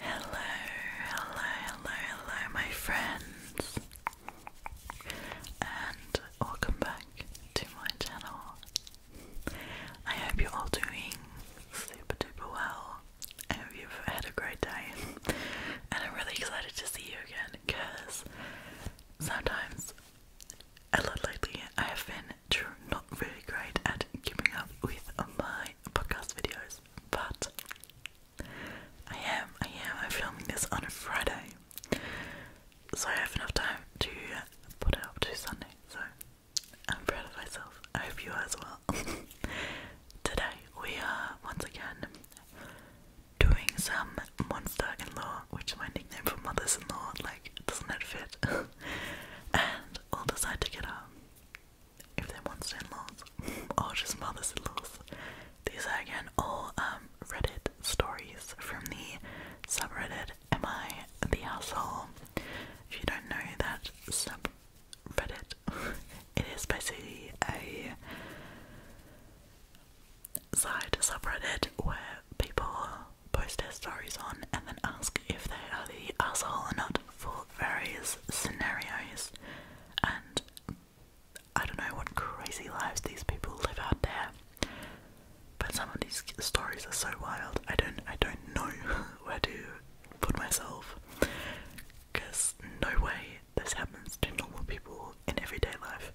Hello, hello, hello, hello, my friends, and welcome back to my channel. I hope you're all doing super duper well. and hope you've had a great day, and I'm really excited to see you again because sometimes, a lot lately, I have been not really great at keeping up with my podcast videos, but I am, I am. I'm filming this on a Friday, so I have enough time to put it up to Sunday. So I'm proud of myself. I hope you are as well. Today we are once again doing some monster in law, which is my nickname for mothers in law. Like, doesn't that fit? and we'll decide to if they're monster in laws just mothers in These are again all um, Reddit stories from the subreddit Am I the Asshole? If you don't know that subreddit, it is basically a side subreddit where people post their stories on and then ask if they are the asshole or not for various scenarios and I don't know what crazy lives these people live out there. But some of these stories are so wild. I don't I don't know where to put myself cuz no way this happens to normal people in everyday life.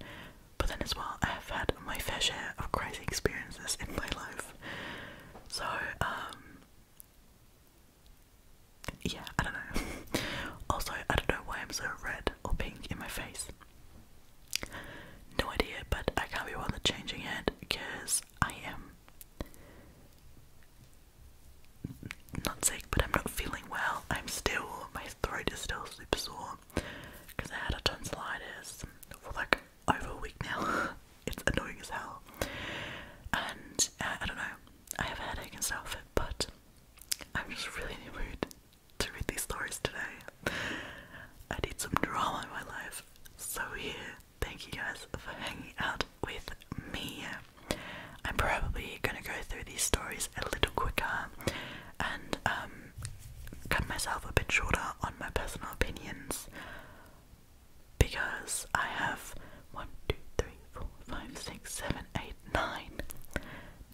But then as well, I have had my fair share of crazy experiences in my life. So um, yeah, I don't know. also, I don't know why I'm so red or pink in my face. No idea, but I can't be one changing it because I am not sick, but I'm not feeling well. I'm still, my throat is still super sore because I had a tonsillitis for like over a week now. it's annoying as hell. And uh, I don't know, I have a headache and stuff, but I'm just really in the mood to read these stories today. I need some drama in my life. So, here, thank you guys for hanging out with me. I'm probably gonna go through these stories a little quicker and um, cut myself a bit shorter on my personal opinions because I have one, two, three, four, five, six, seven, eight, nine,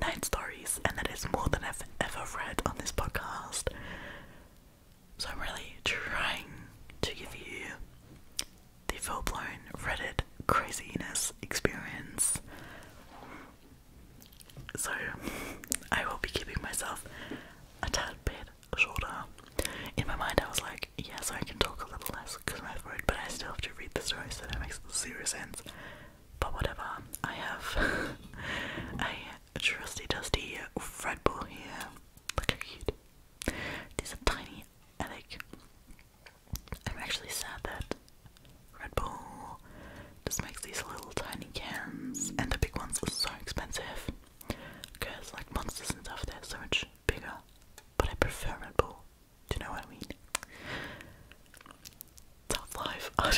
nine stories, and that is more than I've ever read on this podcast. So I'm really trying to give you the full blown Reddit craziness experience. So I will be keeping myself a tad bit shorter. In my mind, I was like, yes, I can talk a little less because my throat, but I still have to read the story, so that makes zero sense. But whatever, I have a trusty, dusty Red Bull here. Look how cute. These are tiny Alec. I'm actually sad that Red Bull just makes these little tiny cans, and the big ones are so expensive. Because, like, monsters and stuff, they're so much bigger but I prefer Red Bull. Do you know what I mean? Tough life. I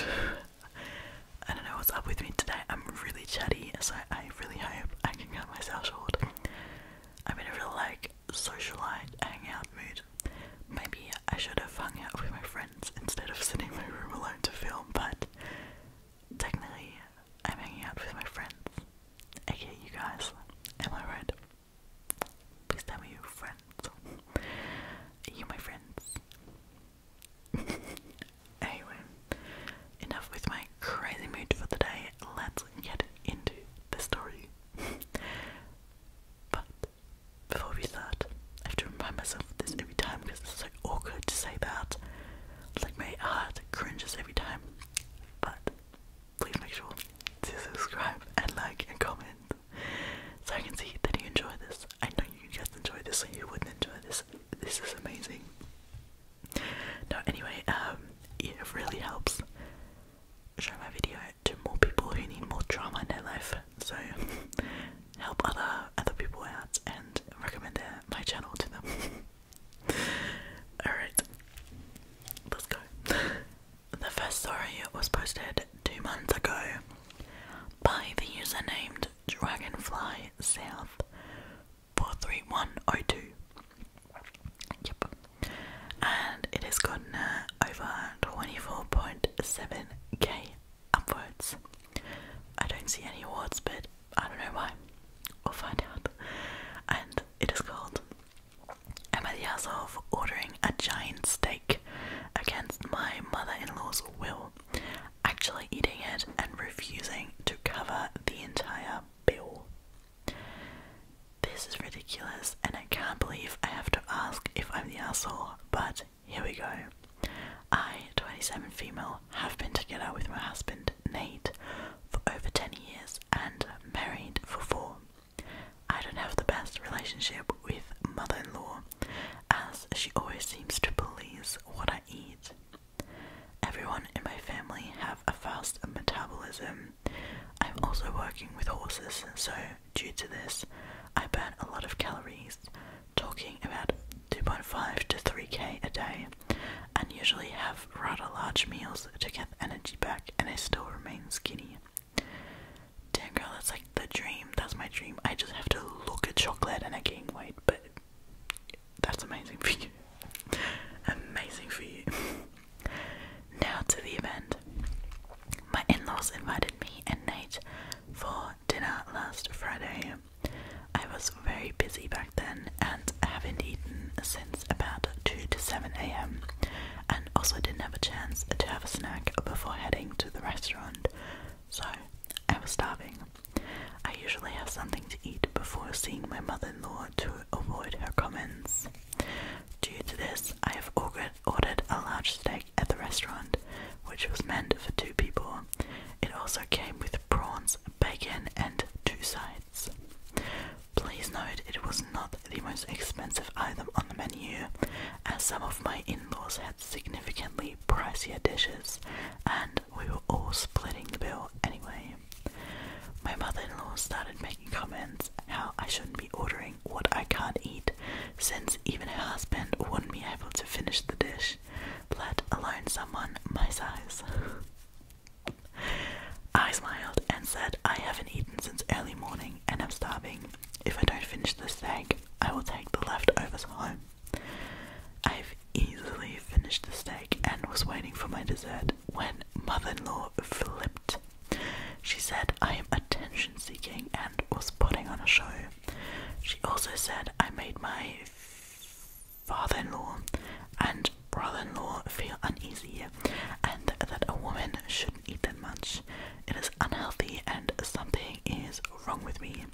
don't know what's up with me today. I'm really chatty, so I really hope I can cut myself short. I'm in a real like socialite, hangout mood. Maybe I should have hung out with my friends instead of sitting in my room alone to film, but technically I'm hanging out with my friends. Okay, you guys, am I right? Please tell me you're friends. Are my friends? anyway, enough with my crazy mood for the day. Let's get into the story. but before we start, I have to remind myself this every time because it's so awkward to say that. Like my heart cringes every time. But please make sure to subscribe and like and comment so I can see that you enjoy this. I know you guys enjoy this, so you wouldn't enjoy this. This is amazing. No, anyway, um, it really helps show my video to more people who need more drama in their life. So help other other people out and recommend my channel to them. Alright, let's go. The first story was posted two months ago by the user named Dragonfly South 43102. Yep. And it has gotten uh, over 24.7k upwards. I don't see any awards, but I don't know why. We'll find out. And it is called. Emma of ordering a giant steak against my mother in law's will, actually eating it and refusing to cover the entire bill. This is ridiculous, and I can't believe I have to ask if I'm the asshole, but here we go. I, 27 female, have been together with my husband Nate, for over 10 years and married for four. I don't have the best relationship with mother in law, as she always seems to police what I eat. Everyone in my family have a fast metabolism. I'm also working with horses, so due to this, I burn a lot of calories, talking about 2.5 to 3k a day and usually have rather large meals to get energy back, and I still remain skinny. Damn girl, that's like the dream. That's my dream. I just have to look at chocolate and I gain weight, but that's amazing for you. amazing for you. now to the event. My in laws invited me and Nate for dinner last Friday. I was very busy back then and and haven't eaten since about 2 to 7 am, and also didn't have a chance to have a snack before heading to the restaurant, so I was starving. I usually have something to eat before seeing my mother in law to avoid her comments. Due to this, I have ordered a large steak at the restaurant, which was meant for two people. It also came with prawns, bacon, and two sides. Please note it was not the most expensive item on the menu, as some of my in laws had significantly pricier dishes, and we were all splitting the bill anyway. My mother in law started making comments how I shouldn't be ordering what I can't eat, since even her husband wouldn't be able to finish the dish, let alone someone my size. I smiled and said, I haven't eaten since early morning and am starving. If I don't finish the steak, I will take the leftovers home. I've easily finished the steak and was waiting for my dessert when mother in law flipped. She said I am attention seeking and was putting on a show. She also said I made my father in law and brother-in-law feel uneasy and that a woman shouldn't eat that much. It is unhealthy and something is wrong with me.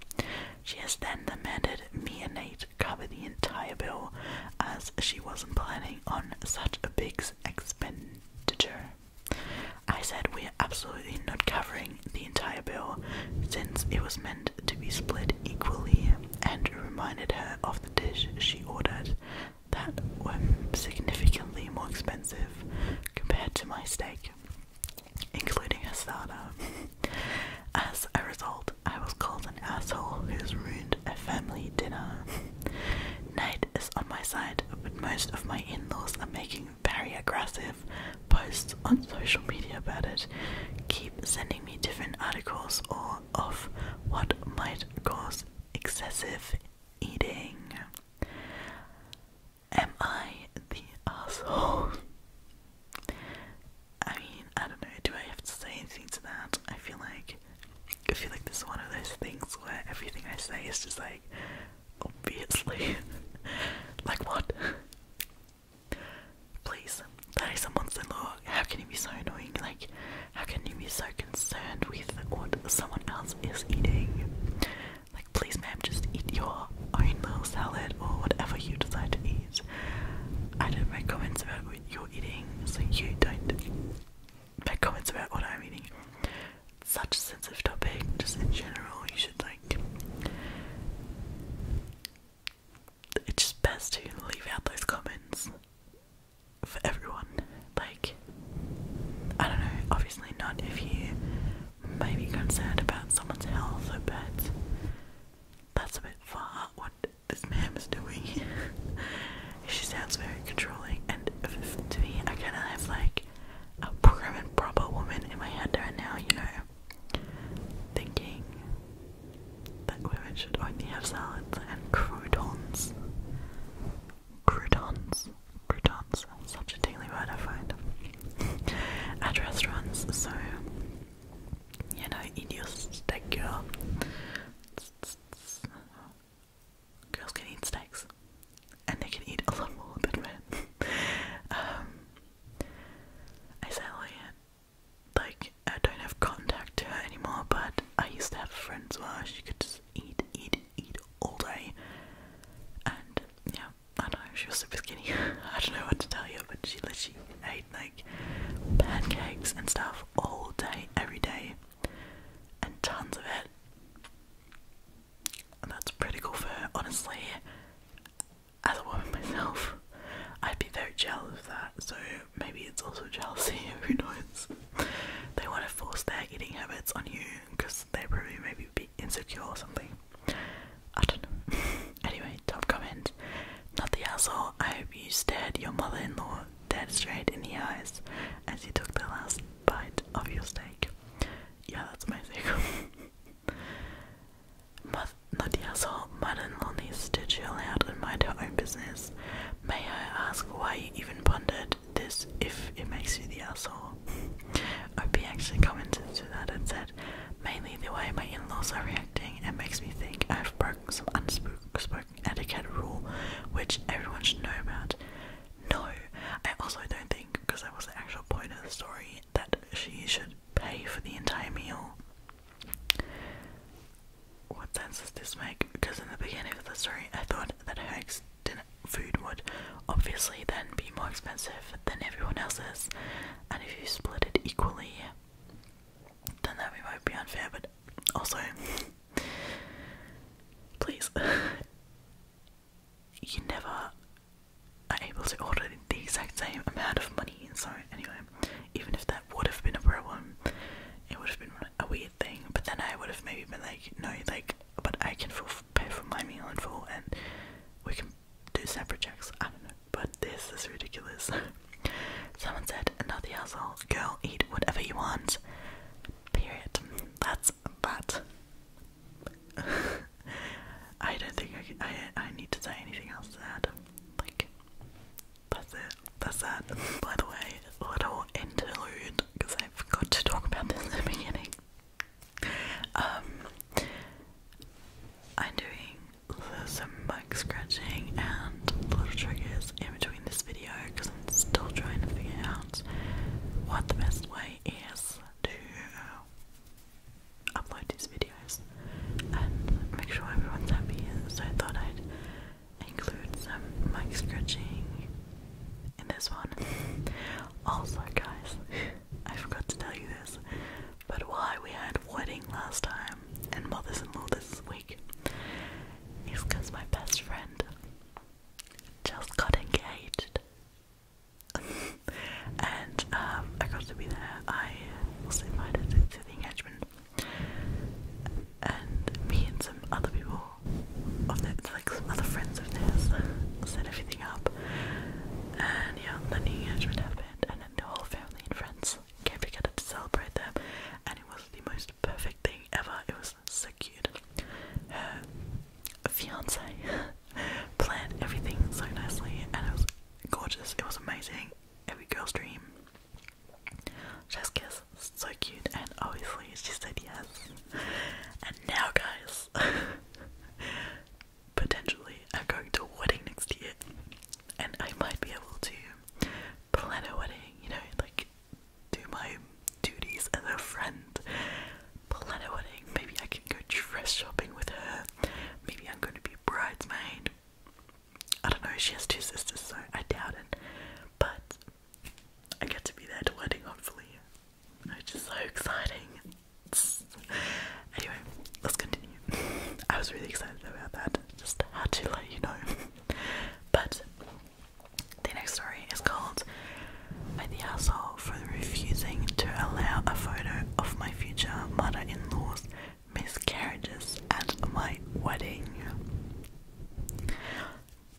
She has then demanded me and Nate cover the entire bill as she wasn't planning on such a big expenditure. I said we are absolutely not covering the entire bill since it was meant to be split equally and reminded her of the dish she ordered that were significantly more expensive compared to my steak, including a starter. As a result, I was called an asshole who's ruined a family dinner. Night is on my side, but most of my in laws are making very aggressive posts on social media about it. Keep sending me different articles or of what might cause excessive eating. Am I the asshole? I mean, I don't know. Do I have to say anything to that? I feel like I feel like this is one of those things where everything I say is just like obviously, like what? Please, that is a monster law. How can it be so annoying? Like how can you be so concerned with what someone else is eating? Like, please, ma'am, just eat your own little salad or whatever you decide to eat. I don't make comments about what you're eating, so you don't make comments about what I'm eating. such a sensitive topic, just in general, you should like. It's just best to leave out those comments for everyone. Like, I don't know, obviously not if you may be concerned about someone's health, but that's a bit far what this man is doing. she sounds very controlling, and to me, I kind of have like a prim and proper woman in my head right now, you know, thinking that women should only have salads and croutons. Croutons. Croutons. Such a daily word I find. At restaurants, so you know, eat your steak girl. Girls can eat steaks. And they can eat a lot more than men. Um, I say like like I don't have contact to her anymore, but I used to have friends where she could just eat, eat, eat all day. And yeah, I know, she was super skinny. I don't know what to tell you, but she literally ate like pancakes and stuff all day, every day, and tons of it. And that's pretty cool for her, honestly. As a woman myself, I'd be very jealous of that, so maybe it's also jealousy, who knows? They want to force their eating habits on you because they probably maybe be insecure or something. I don't know. anyway, top comment. Not the asshole. I hope you stared your mother in law dead straight in the eyes as she took the last bite of your steak. Yeah, that's amazing. Mother, not the asshole. Mother in law needs to chill out and mind her own business. May I ask why I even pondered this if it makes you the asshole. Opie actually commented to that and said, mainly the way my in-laws are reacting, it makes me think I've broken some unspoken etiquette rule which everyone should know about. No, I also don't think, because that was the actual point of the story, that she should pay for the entire meal. What sense does this make? Because in the beginning of the story, I thought that Hank's dinner food would obviously then be more expensive than everyone else's, and if you split it equally, then that might be unfair. But also, please, you never are able to order the exact same amount of money. Sorry. anyway, even if that would have been a problem, it would have been a weird thing. But then I would have maybe been like, no, like, but I can full pay for my meal and full, and we can do separate checks. I don't know. But this is ridiculous. Someone said, "Not the asshole, girl. Eat whatever you want." Period. That's that. I don't think I, I I need to say anything else to that. Like, that's it. That's that. By the way, a little interlude because I forgot to talk about this in the beginning. Um, I'm doing some mic scratching and a little triggers in between this video because I'm still trying to figure out what the best way is to uh, upload these videos and make sure everyone's happy. So I thought I'd include some mic scratching in this one. also, guys, I forgot to tell you this, but why we had wedding last time and mothers and law this week is because my best friend just got engaged. and um, I got to be there. I was invited to the engagement and me and some other people of that, like some other friends of theirs, set everything up, and yeah, the New Year's and then the whole family and friends came together to celebrate them, and it was the most perfect thing ever. It was so cute. Her fiance planned everything so nicely, and it was gorgeous. It was amazing. Every girl's dream. Just kiss. So cute, and obviously she said yes. And now, guys, potentially I'm going to a wedding next year, and I might be able to plan a wedding. You know, like do my duties as a friend, plan a wedding. Maybe I can go dress shopping with her. Maybe I'm going to be a bridesmaid. I don't know. She has two sisters, so I doubt it. But I get to be there to a wedding, hopefully. Which is so exciting. Anyway, let's continue. I was really excited about that. Just had to let you know. but the next story is called By the Asshole for Refusing to Allow a Photo of My Future Mother in Law's Miscarriages at My Wedding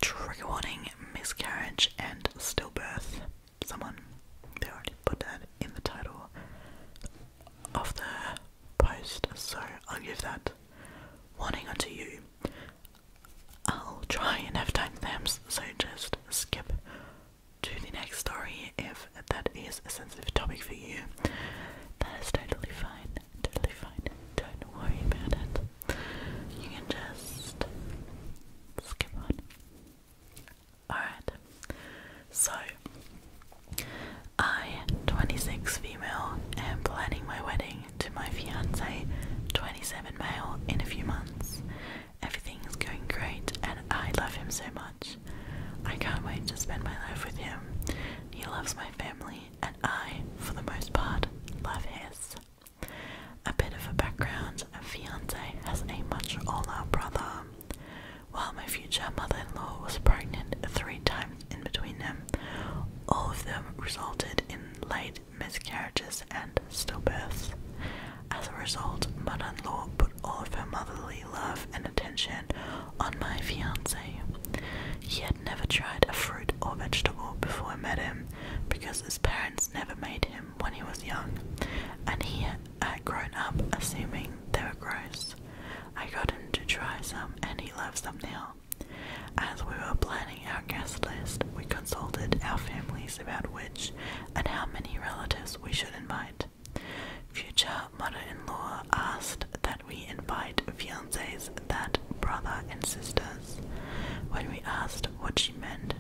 trigger warning, miscarriage and stillbirth. Someone they already put that in the title of the post, so I'll give that warning unto you. I'll try and have timestamps, so just skip to the next story if that is a sensitive topic for you. That is totally fine totally fine. Don't worry about it. You can just skip on. Alright, so I, 26 female, am planning my wedding to my fiance, 27 male, in a few months. Everything is going great and I love him so much. I can't wait to spend my life with him. He loves my family and I, for the most part, love his. A bit of a background a fiance has a much older brother. While my future mother in law was pregnant three times in between them, all of them resulted in late miscarriages and stillbirths. As a result, mother in law put all of her motherly love and attention on my fiance. He had never tried a fruit or vegetable before I met him, because his parents never made him when he was young, and he had grown up assuming they were gross. I got him to try some, and he loves them now. As we were planning our guest list, we consulted our families about which and how many relatives we should invite. Future mother in law asked that we invite fian says that brother and sisters. When we asked what she meant,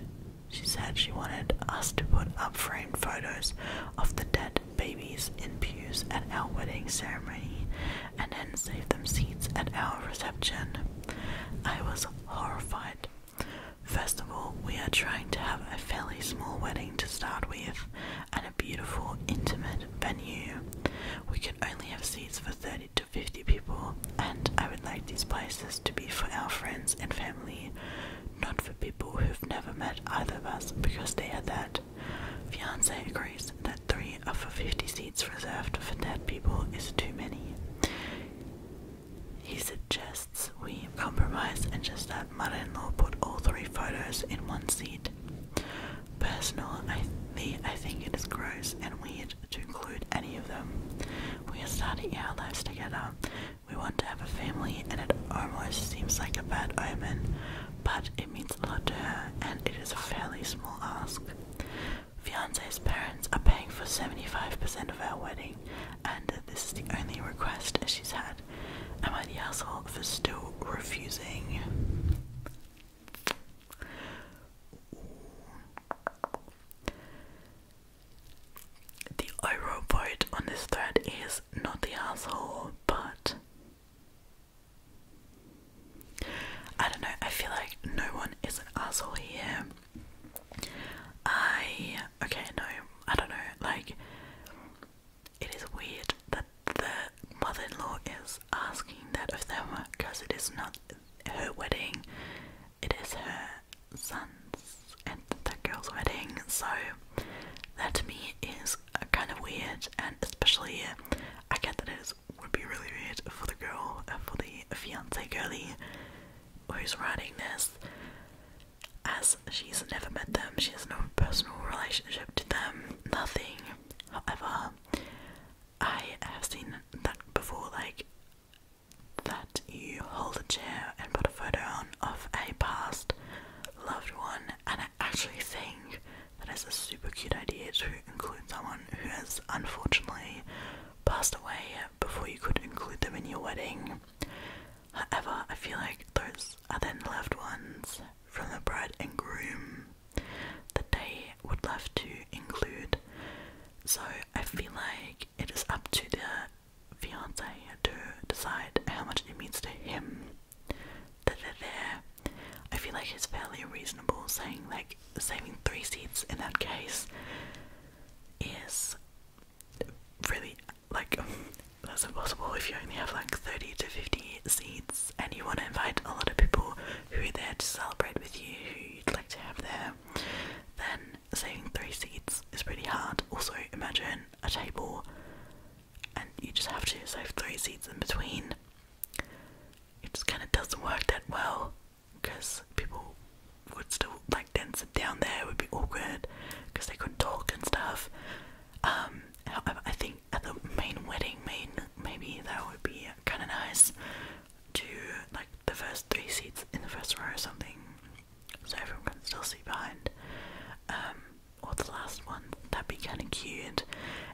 she said she wanted us to put up framed photos of the dead babies in pews at our wedding ceremony and then save them seats at our reception. I was horrified. First of all, we are trying to have a fairly small wedding to start with and a beautiful, intimate venue. We could only have seats for 30 to 50 people, and I would like these places to be for our friends and family, not for people who've never met either of us because they had that. Fiance agrees that three of the 50 seats reserved for dead people is too many. He suggests we compromise and just let mother in law put all three photos in one seat. Personal, I, I think it is gross and weird to include any of them. We are starting our lives together. We want to have a family, and it almost seems like a bad omen, but it means a lot to her, and it is a fairly small ask. Fiance's parents are paying for 75% of our wedding, and this is the only request she's had. Am I the asshole for still refusing? The overall vote on this thread is not the asshole, but I don't know, I feel like no one is an asshole here. I okay, no, I don't know, like it is weird that the mother in law is asking that of them because it is not her wedding. It is her son's and that girl's wedding, so that to me is kind of weird, and especially I get that it would be really weird for the girl, uh, for the fiancee girlie who's writing this, as she's never met them, she has no personal relationship to them, nothing. However, I have seen that before like that you hold a chair and put a photo on of a past loved one and I actually think that is a super cute idea to include someone who has unfortunately passed away before you could include them in your wedding. However, I feel like those are then loved ones from the bride and groom that they would love to include so I feel like it is up to the fiance to decide how much it means to him that they're I feel like it's fairly reasonable saying like saving three seats in that case is really like that's impossible if you only have like 30 to 50 seats and you want to invite a lot of people who are there to celebrate with you who you'd like to have there then saving three seats is pretty hard. Also, imagine a table and you just have to save three seats in between. It just kind of doesn't work that well because people would still like dance it down there, it would be awkward because they couldn't talk and stuff. Um, however, I think at the main wedding, main maybe that would be kind of nice to like the first three seats in the first row or something, so everyone can still see behind. Um, or the last one, that'd be kind of cute,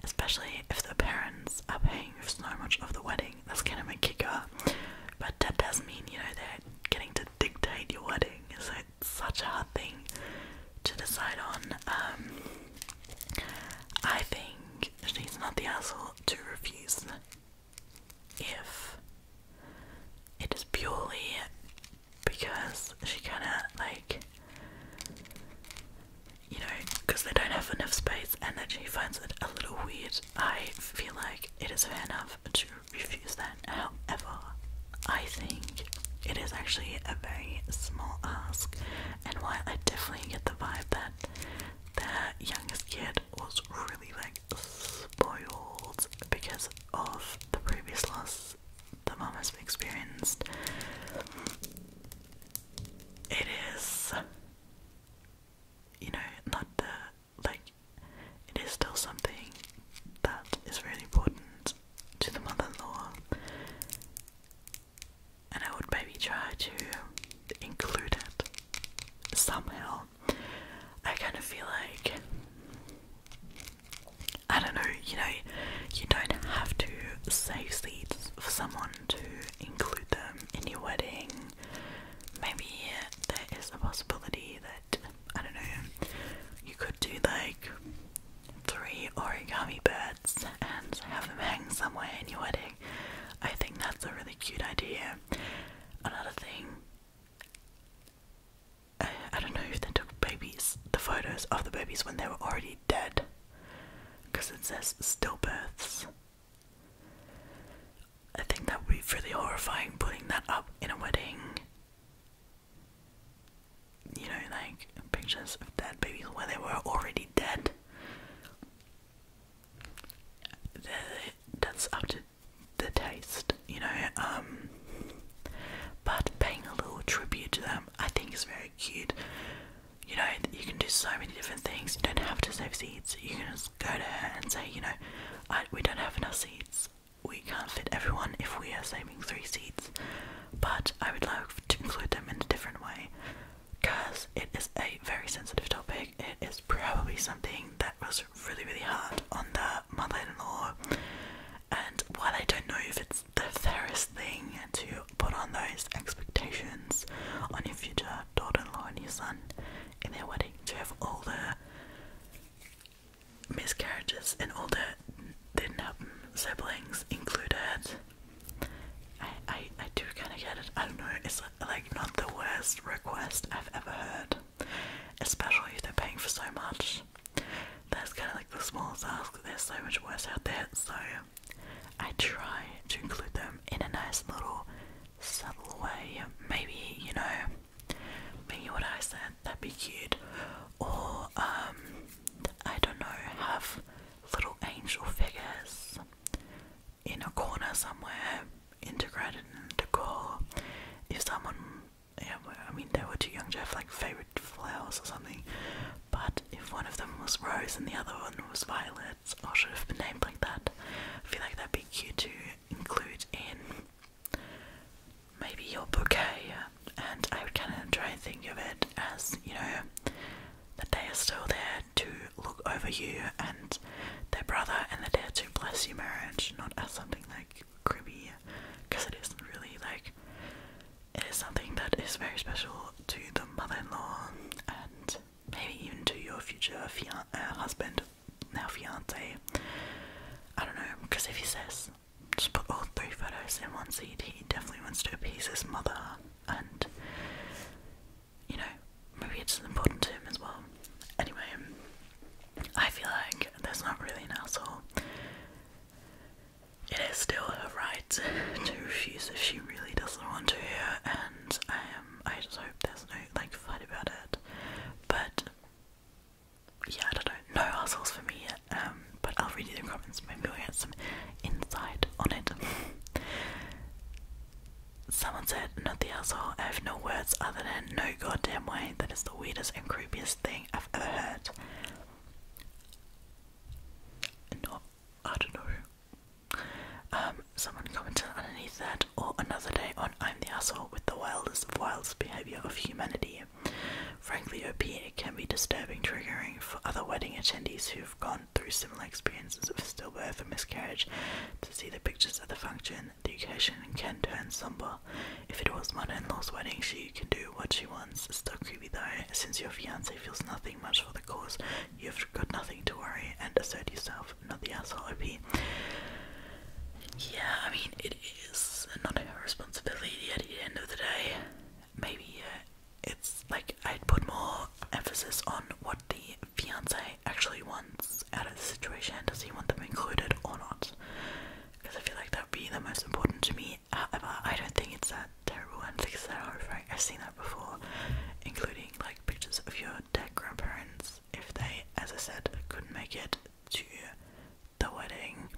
especially if the parents are paying for so much of the wedding. That's kind of a kicker. But that does mean, you know, they're getting to dictate your wedding, so it's such a hard thing to decide on. Um, I think she's not the asshole to refuse if it is purely because she kind of like, you know, because they don't have enough space and that she finds it a little weird, I feel like it is fair enough to refuse that. However, I think it is actually a very small ask, and while I definitely get the vibe that the youngest kid was really like spoiled because of the previous loss the mom has experienced. It is, you know, not the like. It is still something that is really important to the mother-in-law, and I would maybe try to include it somehow I kind of feel like I don't know, you know, you don't have to save seeds for someone to include them in your wedding. Maybe there is a possibility that, I don't know, you could do like three origami birds and have them hang somewhere in your wedding. I think that's a really cute idea. Another thing, I, don't know if they took babies, the photos of the babies when they were already dead, because it says stillbirths. I think that would be really horrifying putting that up in a wedding. You know, like pictures of dead babies where they were already dead that's up to the taste, you know. Um, but paying a little tribute to them, I think, is very cute. You know, you can do so many different things. You don't have to save seeds. You can just go to her and say, you know, we don't have enough seeds. We can't fit everyone if we are saving three seeds. But I would love to include them in a different way because it is a very sensitive topic. It is probably something that was really, really hard on the mother-in-law. And while I don't know if it's the fairest thing to put on those expectations on your future daughter-in-law and your son in their wedding, to have all the miscarriages and all the didn't happen um, siblings included. I, I, I do kind of get it. I don't know. It's like not the worst request I've ever heard, especially if they're paying for so much. That's kind of like the smallest ask, there's so much worse out there, so I try to include them in a nice little subtle way. Maybe, you know, maybe what I said, that'd be cute. Or, um, I don't know, have little angel figures in a corner somewhere integrated into core. If someone, yeah, I mean, they were too young to have like favorite flowers or something, but if one of them was rose and the other one was violet, or should have been named like that, I feel like that'd be cute to include in maybe your bouquet. And I would kind of try and think of it as you know that they are still there to look over you and their brother and they dad to bless your marriage, not as something like creepy, because it isn't really like it is something that is very special to the mother-in-law and maybe even to your future fian uh, husband, now fiance. I don't know, because if he says just put all three photos in one seat, he definitely wants to appease his mother and you know, maybe it's important to as well. Anyway, I feel like there's not really an asshole. It is still her right to refuse if she really doesn't want to, hear. and I am. I just hope there's no like fight about it. But yeah, I don't know. assholes for me. Um, but I'll read you the comments. Maybe we'll get some insight on it. Someone said, Not the asshole. I have no words other than no goddamn way. That is the weirdest and creepiest thing I've ever heard. No, I don't know. Um, someone commented underneath that, or another day on I'm the asshole with the wildest of wildest behavior of humanity. Frankly, OP, it can be disturbing, triggering for other wedding attendees who've gone through similar experiences of stillbirth or miscarriage to see the pictures of the function, the occasion can turn somber. If it was mother-in-law's wedding, she can do what she wants. It's still creepy though, since your fiance feels nothing much for the cause. You've got nothing to worry and assert yourself, not the asshole OP. Yeah, I mean, it is not her responsibility at the end of the day. Maybe uh, it's like I'd put more emphasis on what the fiance actually wants out of the situation. Does he want them included or not? Because I feel like that would be the most important to me. However, I don't think it's that terrible and think that horrifying. I've seen that before, including like pictures of your dead grandparents if they, as I said, couldn't make it to the wedding.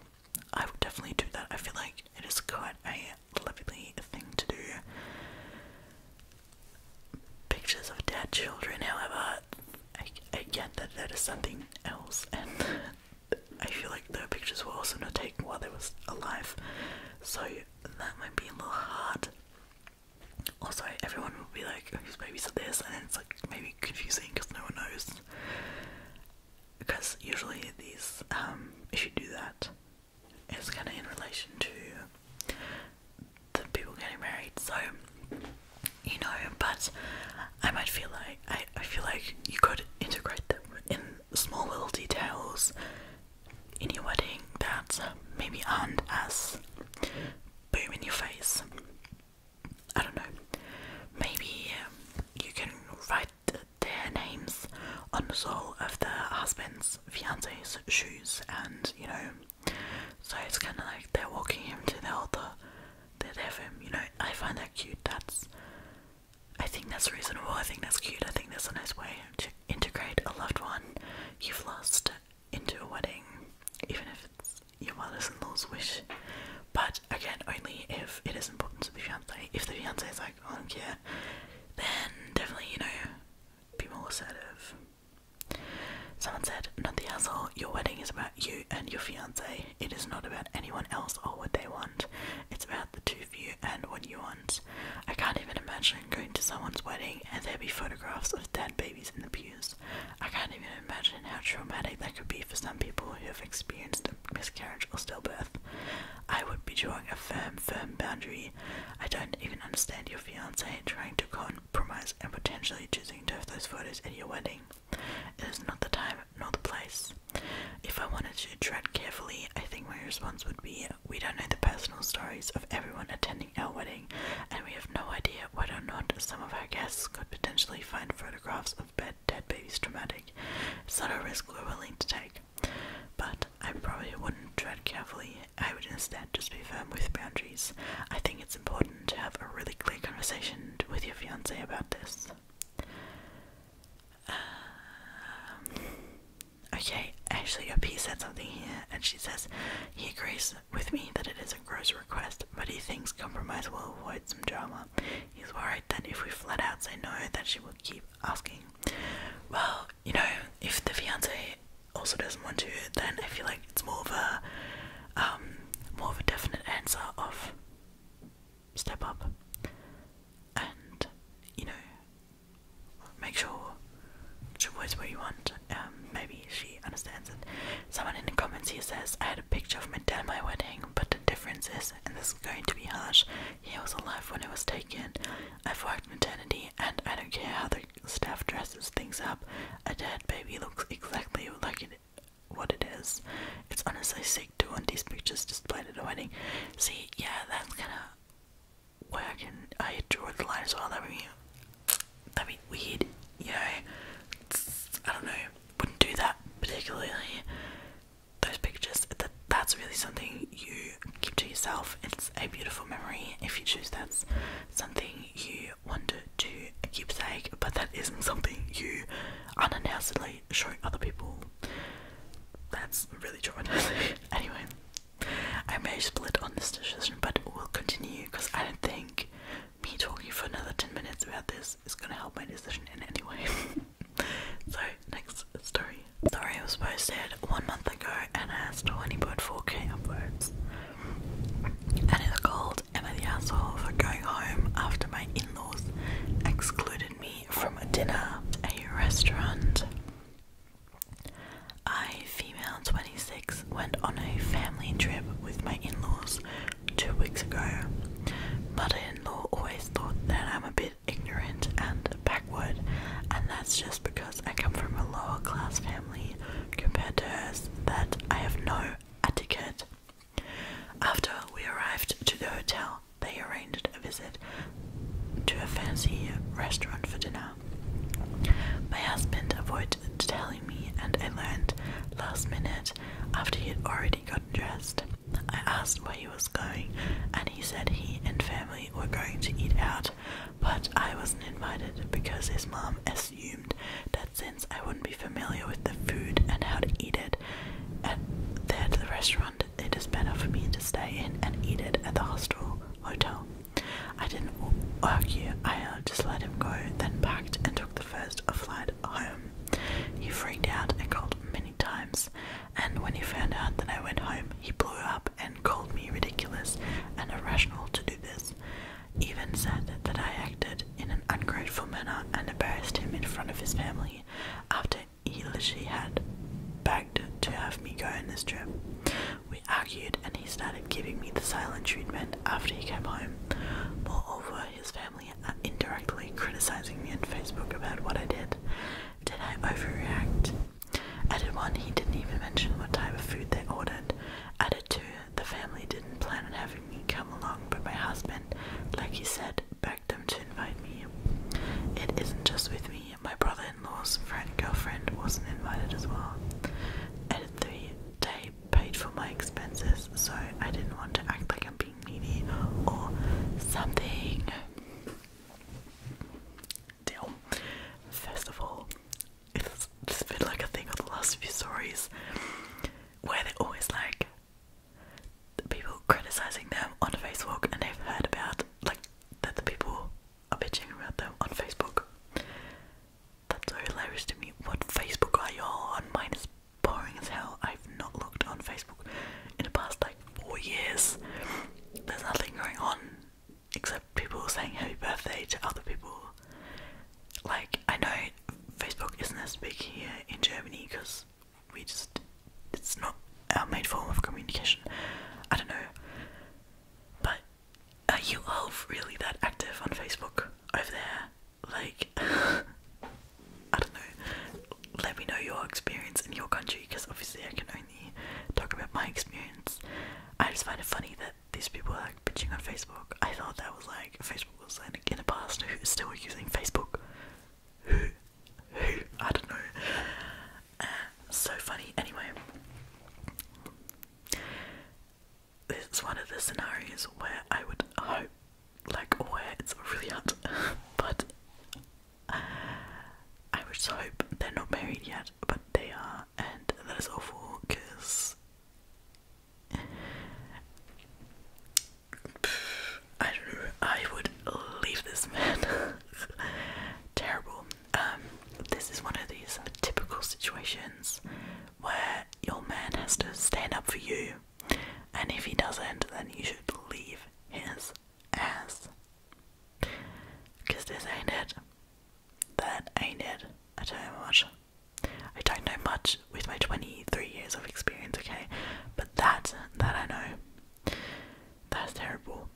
I would definitely do that. I feel like it is quite a lovely thing to do pictures of dead children, however, I, get that that is something else, and I feel like the pictures were also not taken while they was alive, so that might be a little hard. Also, everyone will be like, whose babies are this? And it's like maybe confusing because no one knows. Because usually these, um, if you do that, it's kind of in relation to the people getting married, so you know, but I might feel like I, I feel like you could integrate them in small little details in your wedding that maybe aren't as boom your face. I don't know. Maybe you can write their names on the sole of the husband's fiance's shoes and, you know, so it's kind of like they're walking him to the altar. They'd have him, you know. I find that cute. That's, I think that's reasonable. I think that's cute. I think that's a nice way to integrate a loved one you've lost into a wedding, even if it's your mother's-in-law's wish. But again, only if it is important to the fiance. If the fiance is like, I don't care, then definitely, you know, be more assertive. Someone said, Not the asshole, your wedding is about you and your fiance. It is not about anyone else or what they want. It's about the two of you and what you want. I can't even imagine going to someone's wedding and there be photographs of dead babies in the pews. I can't even imagine how traumatic that could be for some people who have experienced a miscarriage or stillbirth. I would be drawing a firm, firm boundary. I don't even understand your fiance trying to con compromise and potentially choosing to have those photos at your wedding. is not the time nor the place. If I wanted to tread carefully, I think my response would be we don't know the personal stories of everyone attending our wedding, and we have no idea whether or not some of our guests could potentially find photographs of dead babies traumatic. It's not a risk we're willing to take. But I probably wouldn't tread carefully I would instead just be firm with boundaries. I think it's important to have a really clear conversation with your fiance about this. Um, okay, actually, OP said something here, and she says he agrees with me that it is a gross request, but he thinks compromise will avoid some drama. He's worried that if we flat out say no, that she will keep asking. Well, you know, if the fiance also doesn't want to, then I feel like it's more of a um, more of a definite answer of step up and you know make sure she wears what you want. Um, maybe she understands it. Someone in the comments here says, I had a picture of my dad my wedding, but the difference is, and this is going to be harsh, he was alive when it was taken. I've worked maternity and I don't care how they like staff dresses things up, a dead baby looks exactly like it, what it is. It's honestly sick to want these pictures displayed at a wedding. See, yeah, that's kind of where I can I draw the line as well. That would be that'd be weird, you know. I don't know. Wouldn't do that particularly. Those pictures. That that's really something you keep to yourself. It's a beautiful memory if you choose. That's something you wanted to keepsake, but that isn't something you unannouncedly show other people. That's really traumatizing. anyway, I may split on this decision, but we'll continue because I don't think me talking for another 10 minutes about this is going to help my decision in any way. so, next story. Story was posted one month ago and has 20.4k uploads. And it's called Am I the Asshole for Going Home After My In Laws Excluded Me from a Dinner at a Restaurant. I, female 26, went on a family trip with my in laws two weeks ago. Mother in law always thought that I'm a bit ignorant and backward, and that's just because I come from a lower class family family compared to hers that I have no etiquette. After we arrived to the hotel, they arranged a visit to a fancy restaurant for dinner. My husband avoided telling me, and I learned last minute after he had already gotten dressed. I asked where he was going, and he said he and family were going to eat out, but I wasn't invited because his mom is assumed that since I wouldn't be familiar with the food and how to eat it at there at the restaurant, it is better for me to stay in and eat it at the hostel hotel. I didn't argue, I uh, just let him go, then packed and took the first flight home. He freaked out and called many times, and when he found out that I went home, he blew up and called me ridiculous and irrational to do this even said that I acted in an ungrateful manner and embarrassed him in front of his family after he had begged to have me go on this trip. We argued and he started giving me the silent treatment after he came home. Moreover, his family indirectly criticizing me on Facebook about what I did. Did I overreact? Added one, he didn't even mention what type of food they ordered. Added the family didn't plan on having me come along, but my husband, like he said, begged them to invite me. It isn't just with me, my brother in law's friend girlfriend wasn't invited as well. And they, they paid for my expenses, so I didn't want to act like I'm being needy or something. Deal. First of all, it's, it's been like a thing on the last few stories where they're always like people criticizing them on Facebook, and they've heard about like that the people are bitching about them on Facebook. That's so hilarious to me. What Facebook are you on? Mine is boring as hell. I've not looked on Facebook in the past like four years. There's nothing going on except people saying happy birthday to other people like, I know Facebook isn't as big here in Germany because we just, it's not our main form of communication. I don't know. But uh, are you all really that active on Facebook over there? Like, I don't know. Let me know your experience in your country because obviously I can only talk about my experience. I just find it funny that these people are like bitching on Facebook. I thought that was like Facebook was like in the past who's still using Facebook. Who? Who? I don't know. Uh, so funny. Anyway, this is one of the scenarios where I would hope, like, where it's really hard, but uh, I would just hope they're not married yet, but they are and that is awful because I don't know. I would leave this man. Terrible. Um, this is one of these typical situations where your man has to stand up for you, and if he doesn't, then you should leave his ass. Cause this ain't it that ain't it. I tell you much. I don't know much with my 23 years of experience, okay? But that, that I know. That's terrible.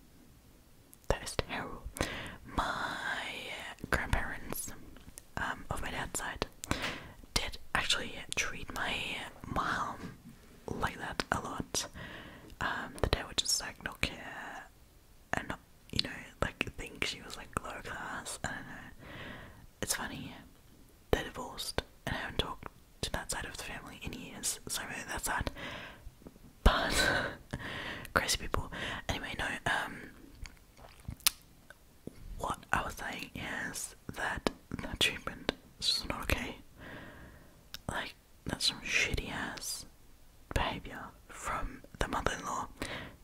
That is terrible. My grandparents, um, of my dad's side, did actually treat my mom like that a lot. Um, that they would just like not care and not you know, like think she was like low class. I don't know. It's funny. They're divorced and I haven't talked to that side of the family in years, so maybe that's sad. But crazy people. Anyway, no, um what I was saying is that that treatment is not okay. Like that's some shitty ass behaviour from the mother in law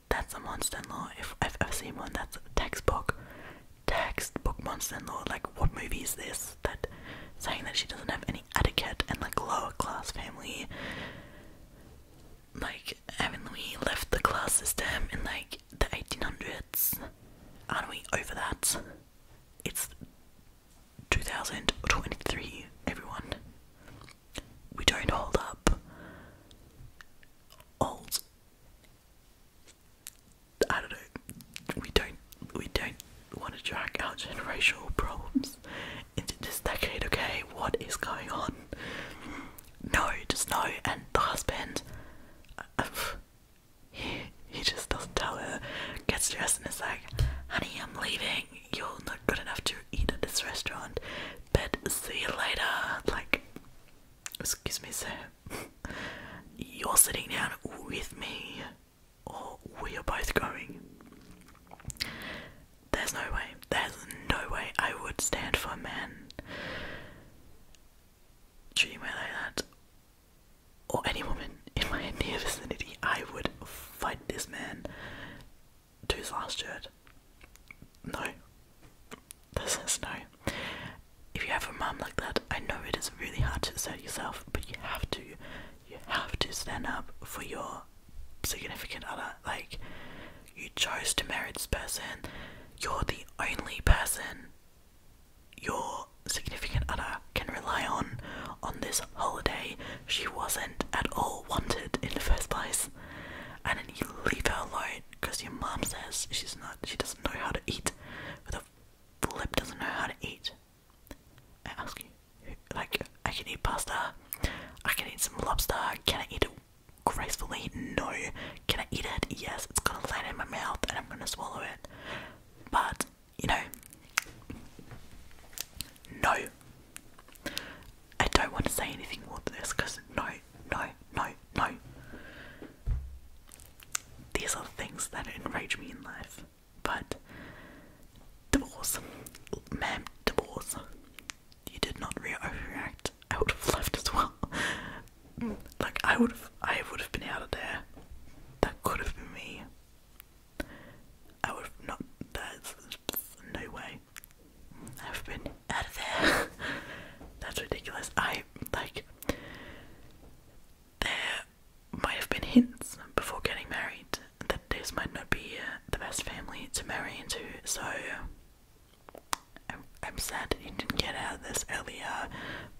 that's a monster law If I've ever seen one, that's a textbook, textbook monster law Like, what movie is this? That saying that she doesn't have any etiquette and like lower-class family. Like, haven't we left the class system in like the 1800s? Aren't we over that? It's 2023, everyone. We don't hold up old I don't know we don't we don't want to drag our generational problems into this decade, okay? What is going on? No, just no. And the husband, he, he just doesn't tell her, gets dressed and is like, honey, I'm leaving. You're not good enough to eat at this restaurant, but see you later. Like, Excuse me, sir. You're sitting down with me, or we are both going. There's no way, there's no way I would stand for a man treating me like that, or any woman in my near vicinity. I would fight this man to his last shirt. No, this is no. If you have a mum like that, I know it is really hard to assert yourself, but you have to. You have to stand up for your significant other. Like, you chose to marry this person. You're the only person your significant other can rely on on this holiday. She wasn't at all wanted in the first place. And then you leave her alone because your mom says she's not she doesn't know how to eat with a lip doesn't know how to eat I ask you like I can eat pasta I can eat some lobster can I eat it gracefully no can I eat it yes it's gonna land in my mouth and I'm gonna swallow it but you know no I don't want to say anything more than this because no no, no, no. These are things that enrage me in life. But divorce. Ma'am, divorce. You did not react. I would have left as well. Mm, like I would have I would have been out of there. That could have been me. I would not that's no way. I've been out of there. That's ridiculous. I like there might have been hints before getting married that this might not be uh, the best family to marry into, so I'm, I'm sad that you didn't get out of this earlier,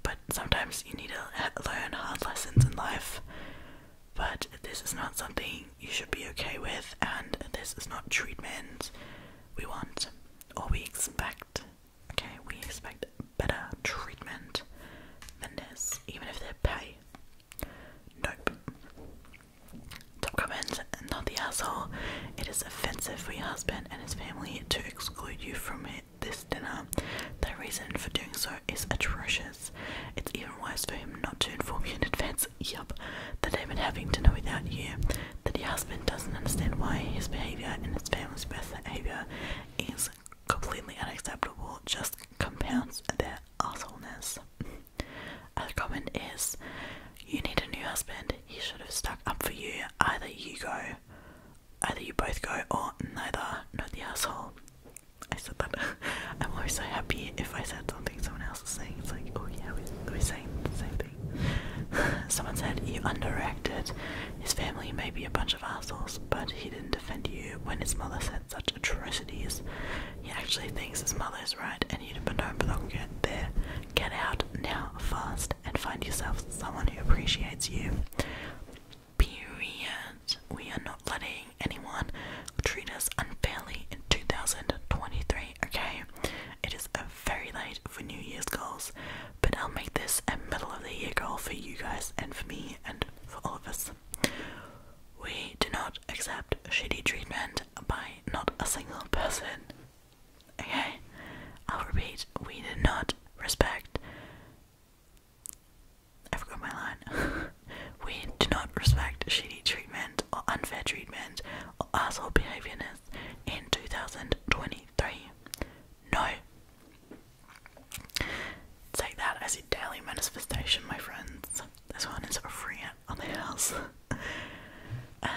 but sometimes you need to learn hard lessons in life. But this is not something you should be okay with, and this is not treatment we want or we expect okay, we expect better treatment than this, even if their pay. Nope. Top comment, not the asshole. It is offensive for your husband and his family to exclude you from this dinner. The reason for doing so is atrocious. It's even worse for him not to inform you in advance. Yup, that they've been having dinner without you that the husband doesn't understand why his behavior and his family's behavior is completely unacceptable, just compounds their assholeness. Other comment is, you need a new husband. He should have stuck up for you. Either you go, either you both go, or neither. Not the asshole. I said that. I'm always so happy if I said something someone else is saying. It's like, oh yeah, we're, we saying the same Someone said, You underacted. His family may be a bunch of assholes, but he didn't defend you when his mother said such atrocities. He actually thinks his mother is right and you don't belong there. Get out now, fast, and find yourself someone who appreciates you. Period. We are not letting anyone treat us unfairly in 2023, okay? It is a very late for New Year's goals, but I'll make this a middle of the year goal for you guys and for me and for all of us. We do not accept shitty treatment by not a single person. Okay? I'll repeat, we do not respect. I forgot my line. we do not respect shitty treatment or unfair treatment or asshole behavior in 2023? No. Take that as a daily manifestation, my friends. This one is free on the house. Uh,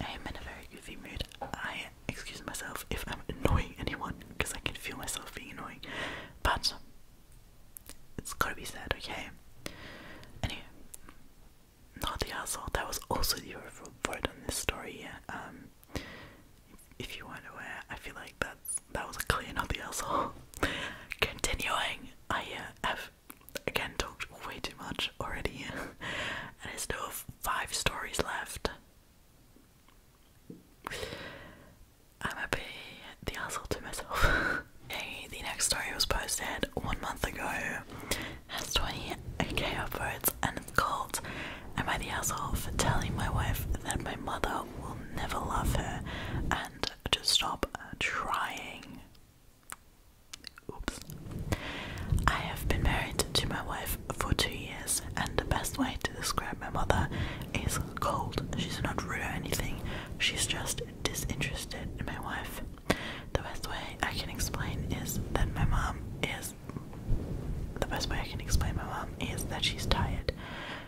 I am in a very goofy mood. I excuse myself if I'm annoying anyone because I can feel myself being annoying. But it's gotta be said, okay? Anyway, not the asshole. That was also the word on this story. Um, if you weren't aware, I feel like that's that was a clear not the asshole. Continuing, I uh, have again talked way too much already, and I still five stories left. I'm a bit the asshole to myself. the next story was posted one month ago has 28k upwards and it's called Am I the asshole for telling my wife that my mother will never love her and to stop trying? Oops. I have been married to my wife for two years, and the best way to describe my mother is cold. She's not rude or anything, she's just disinterested in my wife. The best way I can explain is that my mom is. The best way I can explain my mom is that she's tired.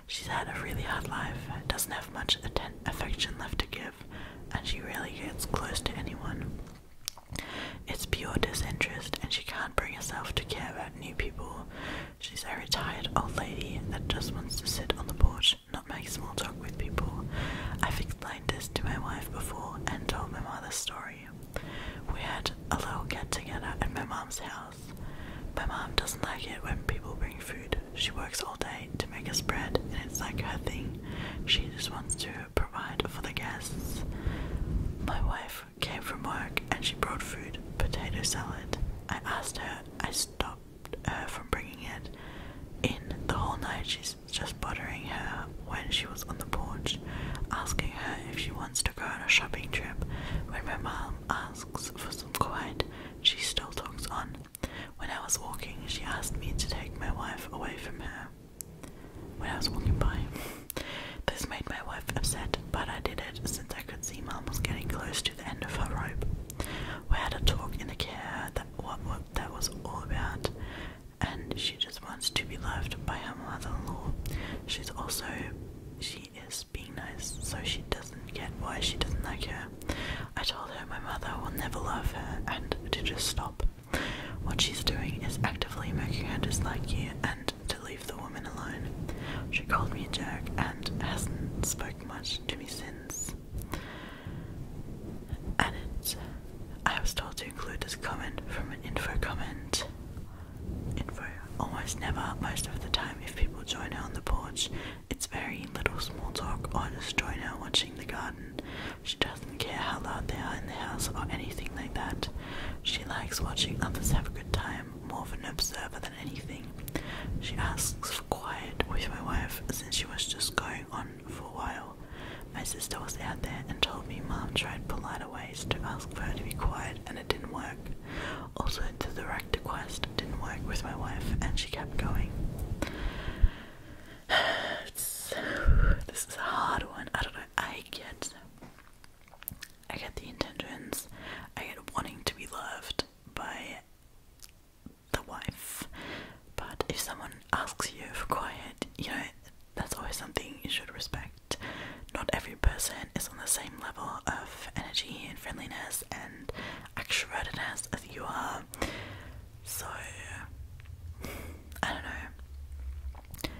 She's had a really hard life, doesn't have much affection left to give, and she rarely gets close to anyone. It's pure disinterest, and she can't bring herself to care about new people. She's a retired old lady that just wants to sit on the porch, not make small talk with people. I've explained this to my wife before and told my mother story. We had a little get together at my mom's house. My mom doesn't like it when people bring food. She works all day to make us bread, and it's like her thing. She just wants to provide for the guests. My wife came from work and she brought food, potato salad. I asked her, I stopped her from bringing it. In the whole night, she just bothering her when she was on the porch, asking her if she wants to go on a shopping trip. When my mom asks for some quiet, she still talks on. When I was walking, she asked me to take my wife away from her. When I was walking by, this made my wife upset, but I did it since I could see Mum was getting close to the end of her rope. We had a talk in the car. that what that was all about and she just wants to be loved by her mother-in-law. She's also she is being nice, so she doesn't get why she doesn't like her. I told her my mother will never love her and to just stop. What she's doing is actively making her dislike you and to leave the woman alone. She called me a jerk and hasn't spoken much to me since. And it's I was told to include this comment from an info comment. Info almost never, most of the time, if people join her on the porch, it's very little small talk or just join her watching the garden. She doesn't care how loud they are in the house or anything like that. She likes watching others have a good time, more of an observer than anything. She asks for quiet with my wife since she was just going on for a while. My sister was out there and told me mom tried polite ways to ask for her to be quiet and it didn't work. Also, the direct request didn't work with my wife and she kept going. this is a hard one. I I get, I get the intentions. I get wanting to be loved by the wife. But if someone asks you for quiet, you know, that's always something you should respect. Not every person is on the same level of energy and friendliness and extrovertedness as you are. So, I don't know.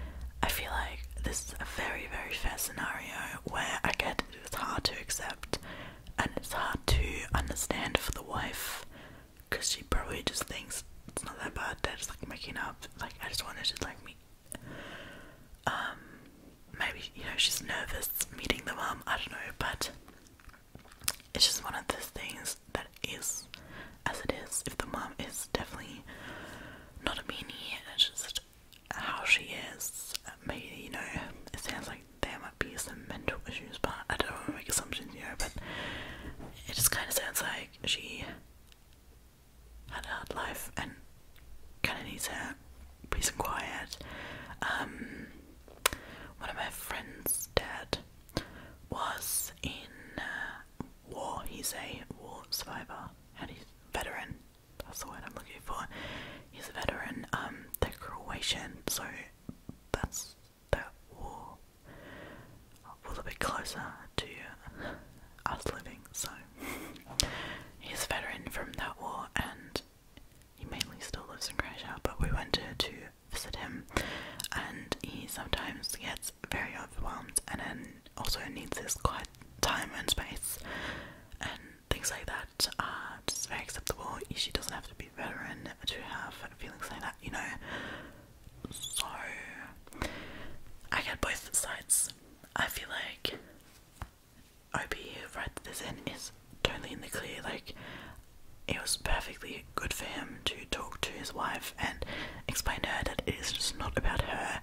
I feel like this is a very, very fair scenario where I get it was hard to accept and it's hard to understand for the wife Cause she probably just thinks it's not that bad. They're like making up. Like I just wanted to like me. Um, maybe you know she's nervous meeting the mom. I don't know, but it's just one of those things that is as it is. If the mom is definitely not a meanie, and it's just how she is. Maybe you know it sounds like there might be some mental issues, but I don't want to make assumptions, here. But it just kind of sounds like she had a hard life and kind of needs her peace and quiet. Um, one of my friends' dad was in uh, war. He's a war survivor, he's a veteran. That's the word I'm looking for. He's a veteran. Um, they're Croatian, so that's that war a little bit closer to us living. So he's a veteran from that war, and he mainly still lives in Croatia. But we went to visit him, and he sometimes gets very overwhelmed, and then also needs his quiet time and space, and things like that are just very acceptable. She doesn't have to be a veteran to have feelings like that, you know. So I get both sides. I feel like OP who writes this in is totally in the clear. Like it was perfectly good for him to talk to his wife and explain to her that it is just not about her.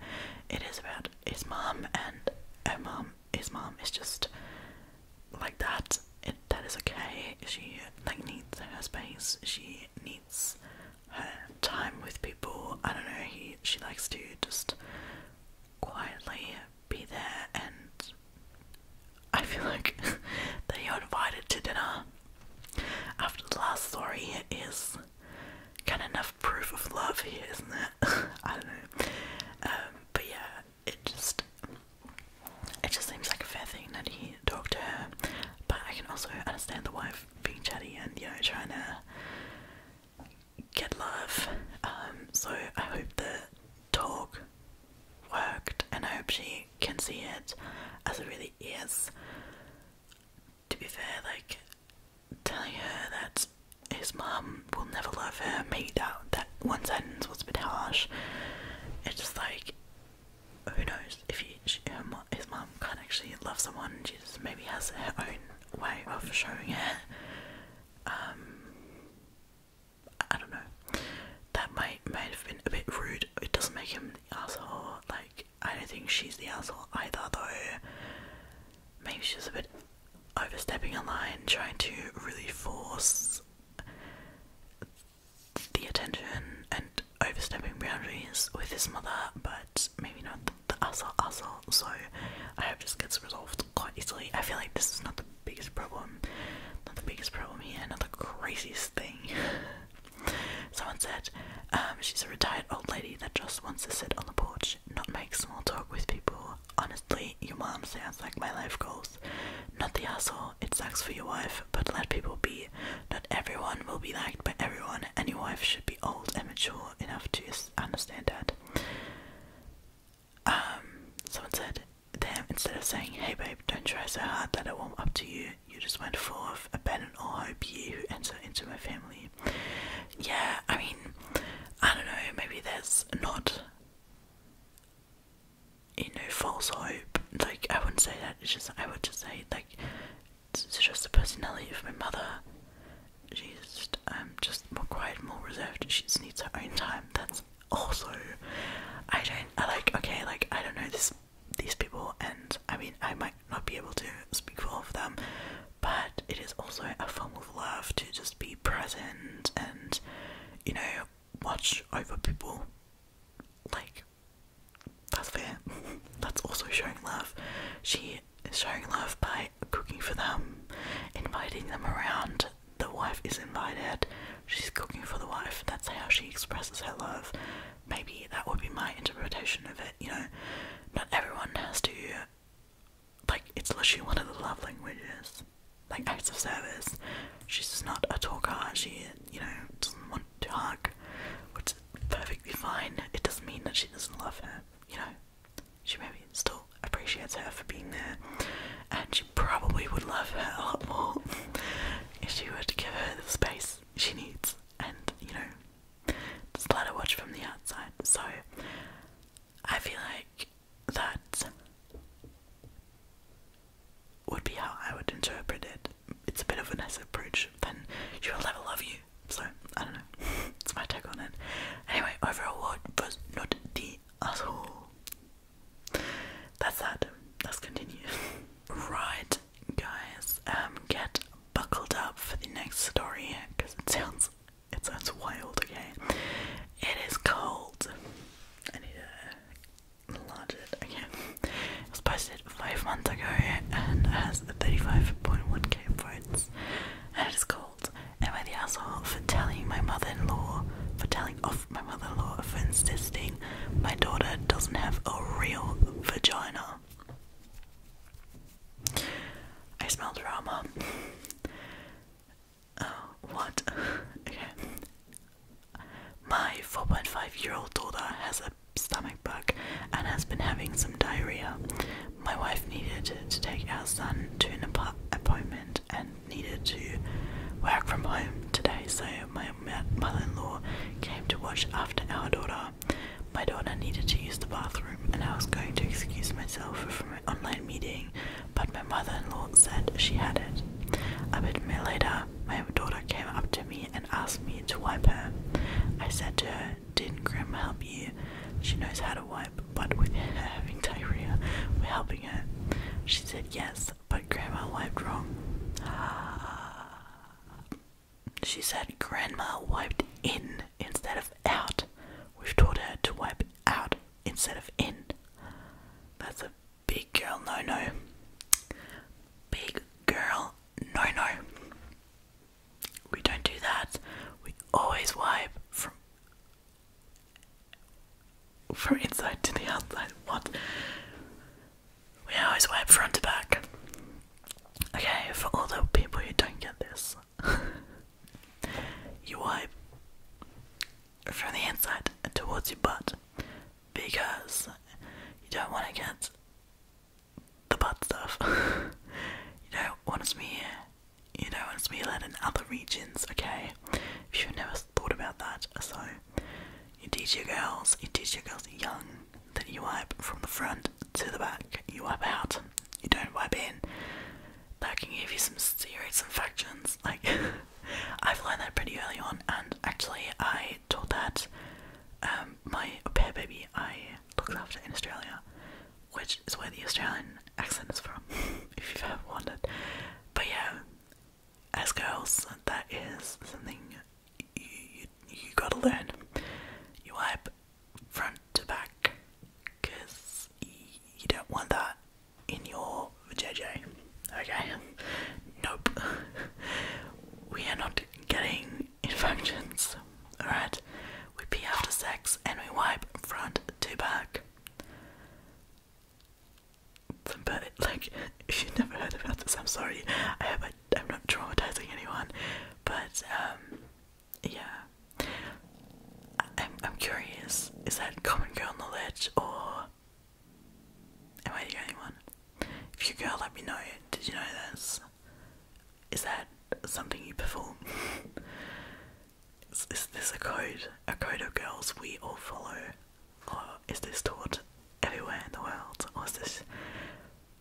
It is about his mom and her mom. His mom is just like that. that is okay. She like needs her space. She needs her time with people. I don't know, he she likes to just quietly be there and I feel like they are invited to dinner. After the last story is kind of enough proof of love here, isn't it? I don't know. Um, but yeah, it just it just seems like a fair thing that he talked to her. But I can also understand the wife being chatty and you know trying to get love. Um, so I hope the talk worked, and I hope she can see it as it really is. To be fair, like telling her that his mum will never love her, made out that one sentence was a bit harsh. It's just like who knows if his mum can't actually love someone, she just maybe has her own way of showing it. Um, I don't know. That might might have been a bit rude. It doesn't make him the asshole. Like I don't think she's the asshole either, though. Maybe she's a bit overstepping a line, trying to really force the attention and overstepping boundaries with his mother, but maybe not the, asshole asshole, so I hope this gets resolved quite easily. I feel like this is not the biggest problem, not the biggest problem here, not the craziest thing. Someone said, um, she's a retired old lady that just wants to sit on the porch, not make small talk with people. Honestly, your mom sounds like my life goals. Not the asshole, it sucks for your wife, but let people be. Not everyone will be liked by everyone, and your wife should be old and mature enough to understand that. Um, someone said, instead of saying, hey babe, don't try so hard that I warm up to you, you just went forth, abandon all hope you enter into my family. Yeah, I mean, I don't know, maybe there's not, you know, false hope. Like, I wouldn't say that, it's just, I would just say, like, it's just the personality of my mother. She's um, just more quiet, more reserved. She just needs her own time. That's also, I don't. I like. Okay, like I don't know this these people, and I mean I might not be able to speak for them, but it is also a form of love to just be present and you know watch over people. Like that's fair. That's also showing love. She is showing love by cooking for them, inviting them around. The wife is invited. She's cooking for the wife. That's how she expresses her love. Maybe that would be my interpretation of it, you know. Not everyone has to like it's literally one of the love languages. Like acts of service. She's not a talker, she you know, doesn't want to hug, which perfectly fine. It doesn't mean that she doesn't love her, you know. She maybe still appreciates her for being there, and she probably would love her a lot more if she were to give her the space she needs and, you know, just let her watch from the outside. So, I feel like that would be how I would interpret it it's a bit of Vanessa approach. then she will never love you. So I don't know. it's my take on it. Anyway, overall award was not the asshole. That's that. Let's continue. right, guys. Um, get buckled up for the next story because it sounds it sounds wild. Okay, it is cold. I need to enlarge it. Okay, it was posted five months ago and has 35.1k votes and it is called Am I the asshole for telling my mother-in-law for telling off my mother-in-law for insisting my daughter doesn't have a real vagina? I smell drama. Oh, what? okay. My 4.5 year old daughter has a stomach bug and has been having some diarrhea. My wife needed to take our son to an appointment and needed to work from home today, so my mother in law came to watch after our daughter. My daughter needed to use the bathroom, and I was going to excuse myself from an online meeting, but my mother in law said she had it. A bit later, my daughter came up to me and asked me to wipe her. I said to her, did Grandma help you? She knows how to wipe, but with her having diarrhea, we're helping her. She said yes, but Grandma wiped wrong. She said Grandma wiped in instead of out. We've taught her to wipe out instead of in. That's a big girl no no. Big girl no no. We don't do that. We always wipe from from inside to the outside. What? We always wipe front to back. Okay, for all the people who don't get this, you wipe from the inside towards your butt because you don't want to get the bad stuff. you know, not want to You know, not want to smear in other regions, okay? If you've never thought about that, so you teach your girls, you teach your girls young that you wipe from the front to the back. You wipe out. You don't wipe in. That can give you some serious infections. Like I've learned that pretty early on, and actually I taught that um, my au pair baby I looked after in Australia, which is where the Australian accent is from, if you've ever wondered. But yeah, as girls, that is something you, you, gotta learn. You wipe front to back, because you don't want that in your vagina. Okay? Nope. we are not getting infections. Alright, we pee after sex and we wipe front to back. But, like, if you've never heard about this, I'm sorry. I hope I, I'm not traumatizing anyone. But, um, yeah. I, am I'm curious is that common girl knowledge or am I the only one? If you girl, let me know. Did you know this? Is that something you perform? is, this a code? A code of girls we all follow? Or is this taught everywhere in the world? Or is this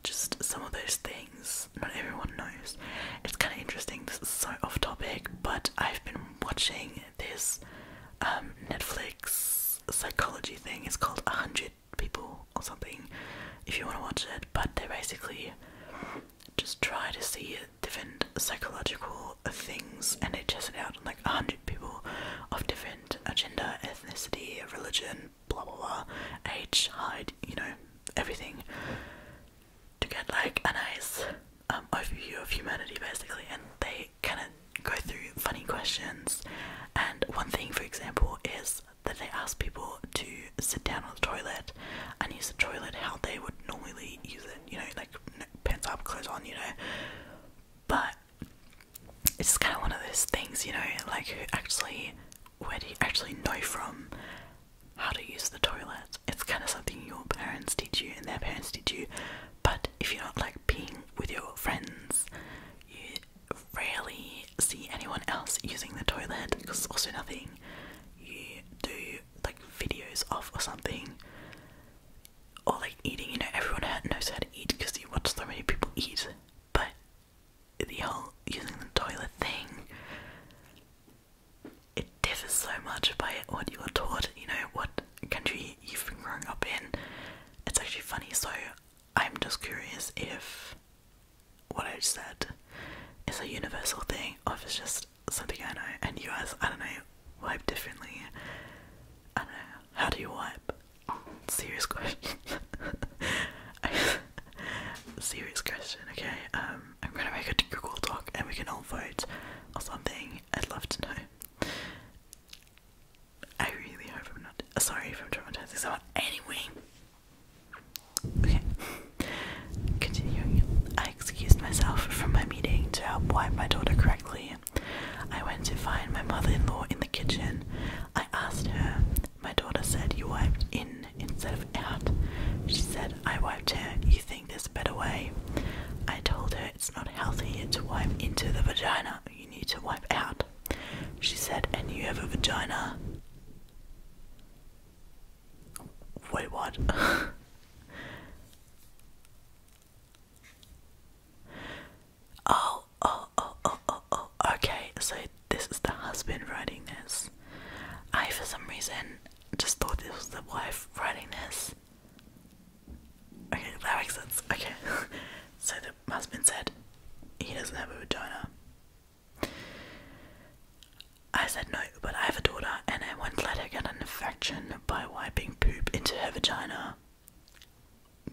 just some of those things not everyone knows? It's kind of interesting. This is so off topic, but I've been watching this um, Netflix psychology thing. It's called 100 people or something if you want to watch it, but they basically just try to see different psychological things and they test it out on like 100 people of different gender, ethnicity, religion, blah blah blah, age, height, you know, everything to get like a nice um, overview of humanity basically and they kind of go through funny questions and one thing for example is that they asked people to sit down on the toilet and use the toilet how they would normally use it, you know, like pants up, clothes on, you know. But it's kind of one of those things, you know, like who actually, where do you actually know from how to use the toilet? It's kind of something your parents teach you and their parents teach you, but if you're not like being with your friends, you rarely see anyone else using the toilet because also nothing you do like videos of or something. Or like eating, you know, everyone knows how to eat because you watch so many people eat. But the whole using the toilet thing, it differs so much by what you are taught, you know, what country you've been growing up in. It's actually funny, so I'm just curious if what I just said is a universal thing, or if it's just something I know, and you guys, I don't know, wipe differently. I don't know. How do you wipe? Serious question. Serious question, okay? Um, I'm gonna make a Google Doc and we can all vote or something. I'd love to know. I really hope I'm not. Sorry if I'm traumatizing someone. Anyway, Okay. Continuing. I excused myself from my meeting to help wipe my daughter correctly. I went to find my mother in law in the kitchen. I asked her. My daughter said, You wiped in instead of out. She said, I wiped her. You think there's a better way? I told her it's not healthy to wipe into the vagina. You need to wipe out. She said, And you have a vagina. Wait, what? oh, oh, oh, oh, oh, oh, okay, so this is the husband writing this. I, for some reason, just thought this was the wife writing this. Okay, that makes sense. Okay, so the husband said he doesn't have a vagina. I said no, but I have a daughter and I won't let her get an infection by wiping poop into her vagina.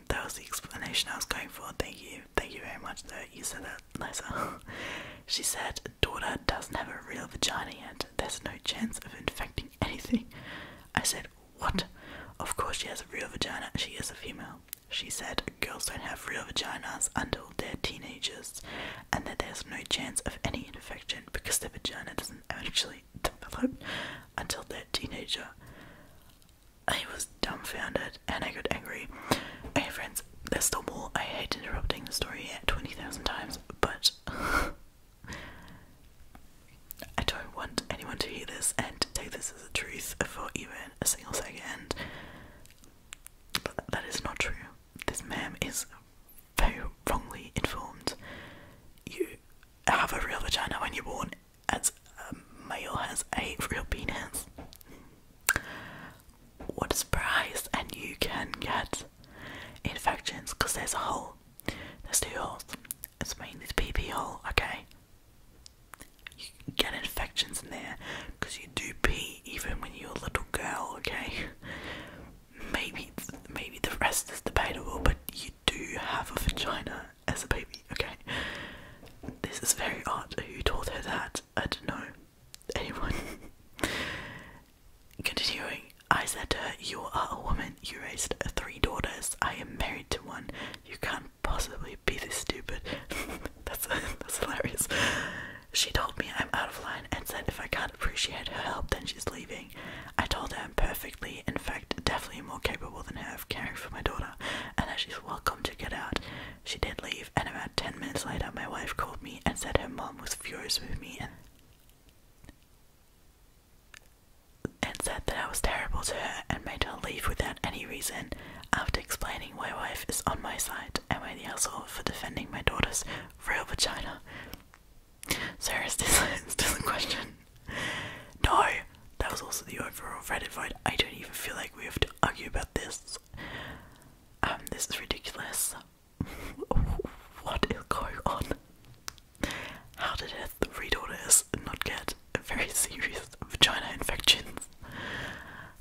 That was the explanation I was going for. Thank you. Thank you very much, though. You said that nicer. she said, Daughter doesn't have a real vagina yet. There's no chance of infecting anything. I said, What? Of course she has a real vagina. She is a female. She said, Girls don't have real vaginas until until they're teenagers and that there's no chance of any infection because their vagina doesn't actually develop until they're teenager. I was dumbfounded and I got angry. Hey friends, there's still more. I hate interrupting the story at 20,000 times, but I don't want anyone to hear this and take this as a truth for even a single second. But that is not true this ma'am is very wrongly informed. You have a real vagina when you're born, as a male has a real penis. What a surprise! And you can get infections because there's a hole. There's two holes. It's mainly the PP hole, okay? You get infections in there because you do pee even when you're a little girl, okay? Maybe maybe the rest is debatable, but you do have a vagina as a baby, okay? This is very odd. Who told her that? I don't know. Anyone? Continuing, I said to her, You are a woman. You raised three daughters. I am married to one. You can't possibly be this stupid. that's, that's hilarious. She told me I'm out of line and said if I can't appreciate her help, then she's leaving. I told her I'm perfectly, in fact, definitely more capable than her of caring for my daughter, and that she's welcome to get out. She did leave, and about 10 minutes later, my wife called me and said her mom was furious with me and, said that I was terrible to her and made her leave without any reason after explaining why wife is on my side am I the asshole for defending my daughter's real vagina? Sarah Stislin's doesn't question. No, that was also the overall Reddit vote. I don't even feel like we have to argue about this. Um, this is ridiculous. what is going on? How did her three daughters not get very serious vagina infections?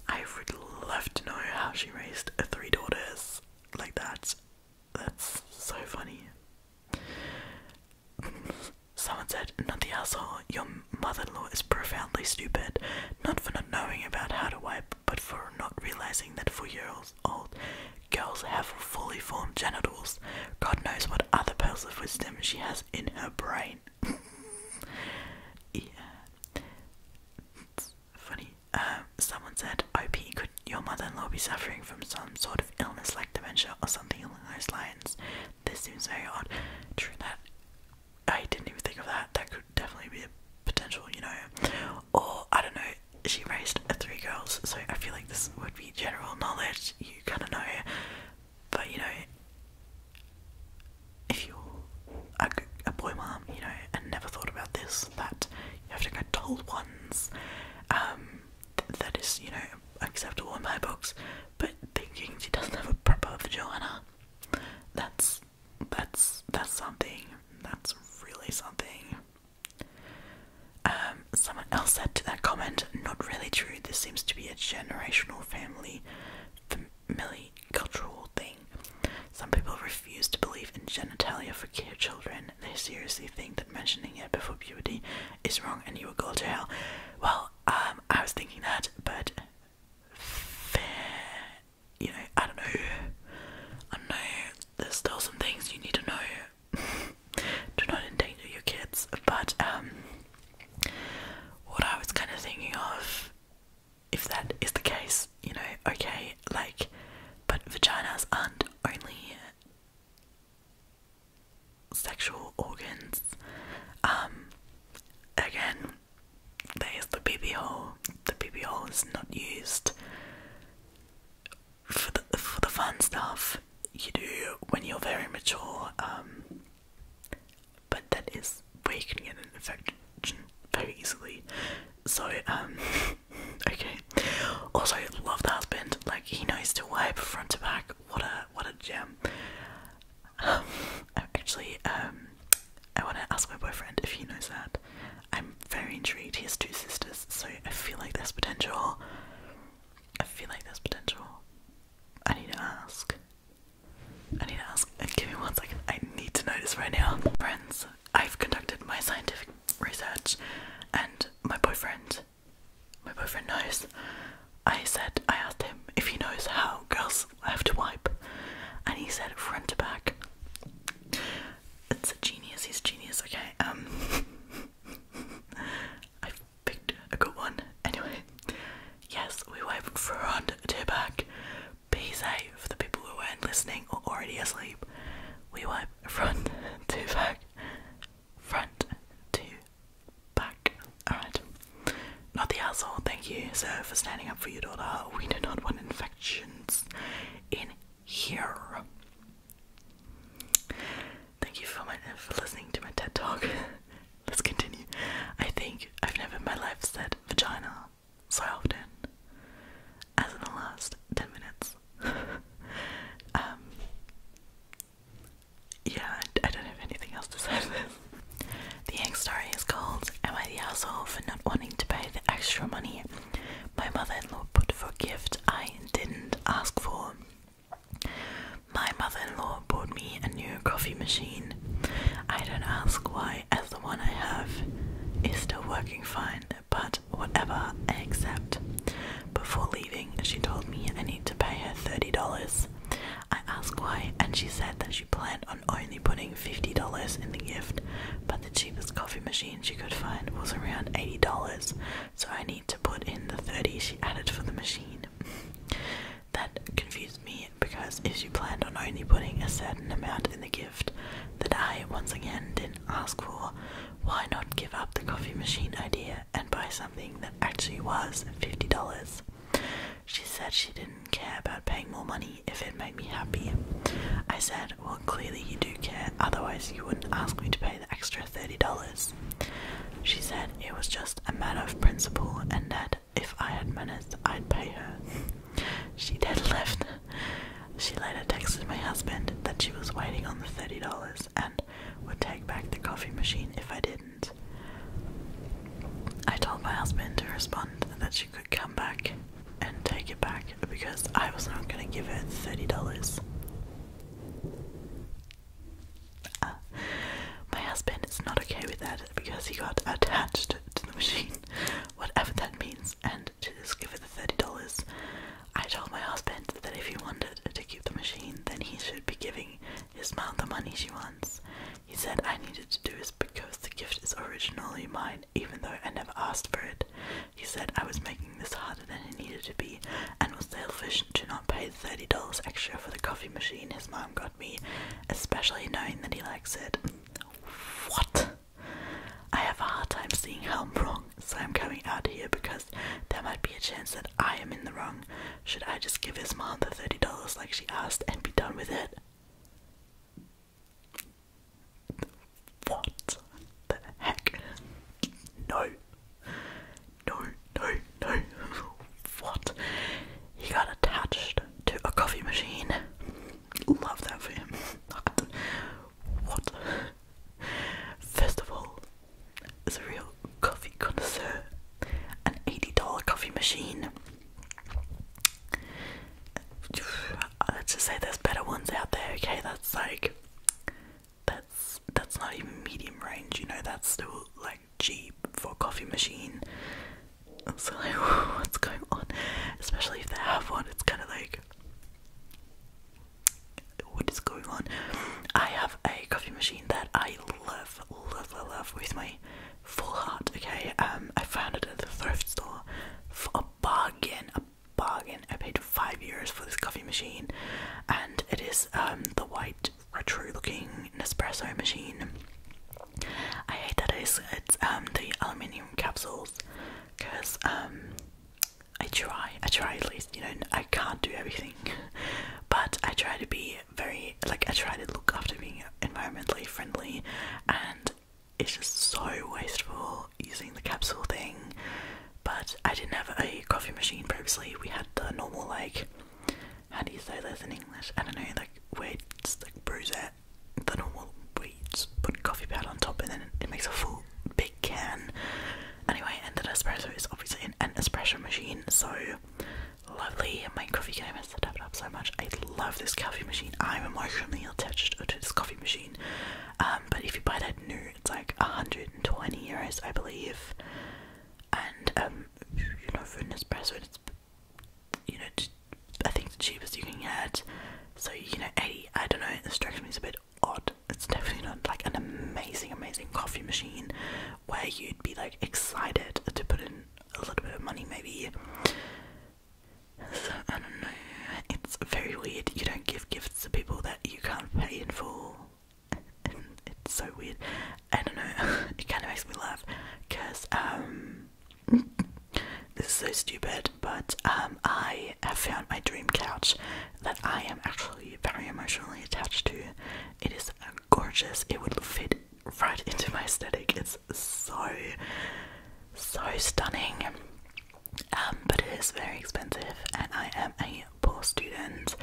I would love to know how she raised three daughters like that. That's so funny. Someone said, Not the asshole, your mother in law is profoundly stupid, not for not knowing about how to wipe, but for not realizing that four year old girls have fully formed genitals. God knows what other pearls of wisdom she has in her brain. yeah funny. Um, someone said, "OP, could your mother-in-law be suffering from some sort of illness like dementia or something along those lines?" This seems very on True that. I didn't even think of that. That could definitely be a potential, you know. Or I don't know. She raised three girls, so I feel like this would be general knowledge. You kind of know, but you know, if you're a, boy mom, you know, and never thought about this, that you have to go told ones. Um, that is, you know, acceptable in my books. But thinking she doesn't have a proper vagina, that's that's that's something. That's really something. Um, someone else said to that comment, not really true. This seems to be a generational family Milli cultural thing. Some people refuse to believe in genitalia for children. They seriously think that mentioning it before puberty is wrong and you will go to hell. Well, um, I was thinking that, but fair, you know, I don't know. I know. There's still some things you need to know. Do not endanger your kids. But um, what I was kind of thinking of if that is the case, you know, okay, like, but vaginas aren't only sexual organs. Um, again, there's the BB hole. The BB hole is not used for the for the fun stuff you do when you're very mature. Um, but that is we can get an infection very easily. So, um, okay. Also, I love the husband. Like he knows to wipe front to back. What a what a gem. Um, actually, um, I want to ask my boyfriend if he knows that. I'm very intrigued. He has two sisters, so I feel like there's potential. I feel like there's potential. I need to ask. I need to ask. Give me one second. I need to know this right now. Friends, I've conducted my scientific research and my boyfriend my boyfriend knows. I said I asked him if he knows how girls have to wipe and he said front to back. It's a genius, he's a genius, okay. Um I've picked a good one. Anyway, yes, we wipe front to back, be safe for the people who weren't listening or already asleep. We went front to back, front to back. Alright. Not the asshole, thank you, so for standing up for your daughter. We do not want infections in here. Thank you for, my, for listening to my TED talk. Let's continue. I think I've never in my life said vagina so often as in the last 10 minutes. Um, yeah, I, don't have anything else to say this. The egg story is called Am I the asshole for not wanting to pay the extra money my mother in law put for a gift I didn't ask for? My mother in law bought me a new coffee machine. I don't ask why, as the one I have is still working fine, but whatever, I accept. Before leaving, she told me I need to pay her $30. I asked why, and she said that she planned on only putting $50 in the gift, but the cheapest coffee machine she could find was around $80, so I need to put in the 30 she added for the machine. that confused me because if she planned on only putting a certain amount in the gift, that I once again didn't ask for why not give up the coffee machine idea and buy something that actually was $50. She said she didn't care about paying more money if it made me happy. I said, Well, clearly you do care, otherwise, you wouldn't ask me to pay the extra $30. She said it was just a matter of principle and that if I had money, I'd pay her. She then left. She later texted my husband that she was waiting on the $30 and would take back the coffee machine if I didn't. I told my husband to respond that she could come back and take it back because I was not going to give her $30. Uh, my husband is not okay with that because he got attached to the machine, whatever that means, and to discover $30. I told my husband that if he wanted to keep the machine, then he should be giving his mom the money she wants. He said I needed to do this because the gift is originally mine, even though I never asked for it. He said I was making this harder than it needed to be and was selfish to not pay $30 extra for the coffee machine his mom got me, especially knowing that he likes it. What? I have a hard time seeing how I'm wrong, so I'm coming out here because there might be a chance that I am in the wrong. Should I just give his mom the $30 like she asked and be done with it? What the heck? No. No, no, no. What? He got attached to a coffee machine. Love that for him. What? First of all, as a real coffee connoisseur, an $80 coffee machine. Let's just say there's better ones out there, okay? That's like that's that's not even medium range, you know, that's still like cheap for a coffee machine. So like what's going on? Especially if they have one, it's kinda like what is going on? I have a coffee machine that I love, love, love, with my full heart. Okay, um, I found it at the thrift store for a bargain, a bargain. I paid five euros for this coffee machine, and it is um, the white retro-looking Nespresso machine. I hate that it's, it's um, the aluminium capsules because um, I try, I try at least, you know, I can't do everything, but I try to be very, like, I try to look after being environmentally friendly, and it's just so wasteful using the capsule thing. But I didn't have a coffee machine previously, we had the normal, like, how do you say this in English? I don't know, like, where it's like brews the normal weeds, put coffee powder on top, and then it makes a full big can. Anyway, and the espresso is obviously an, espresso machine, so lovely. My coffee game has stepped up so much. I love this coffee machine. I'm emotionally attached to this coffee machine. Um, but if you buy that new, it's like 120 euros, I believe. And um, you know, for an espresso, it's you know, I think the cheapest you can get. So you know, Eddie. I don't know. It strikes me as a bit odd. It's definitely not like an amazing, amazing coffee machine where you'd be like excited to put in a little bit of money, maybe. So, I don't know. It's very weird. You don't give gifts to people that you can't pay in for. it's so weird. I don't know. it kind of makes me laugh because um. This is so stupid, but um, I have found my dream couch that I am actually very emotionally attached to. It is gorgeous, it would fit right into my aesthetic. It's so, so stunning. Um, but it is very expensive, and I am a poor student,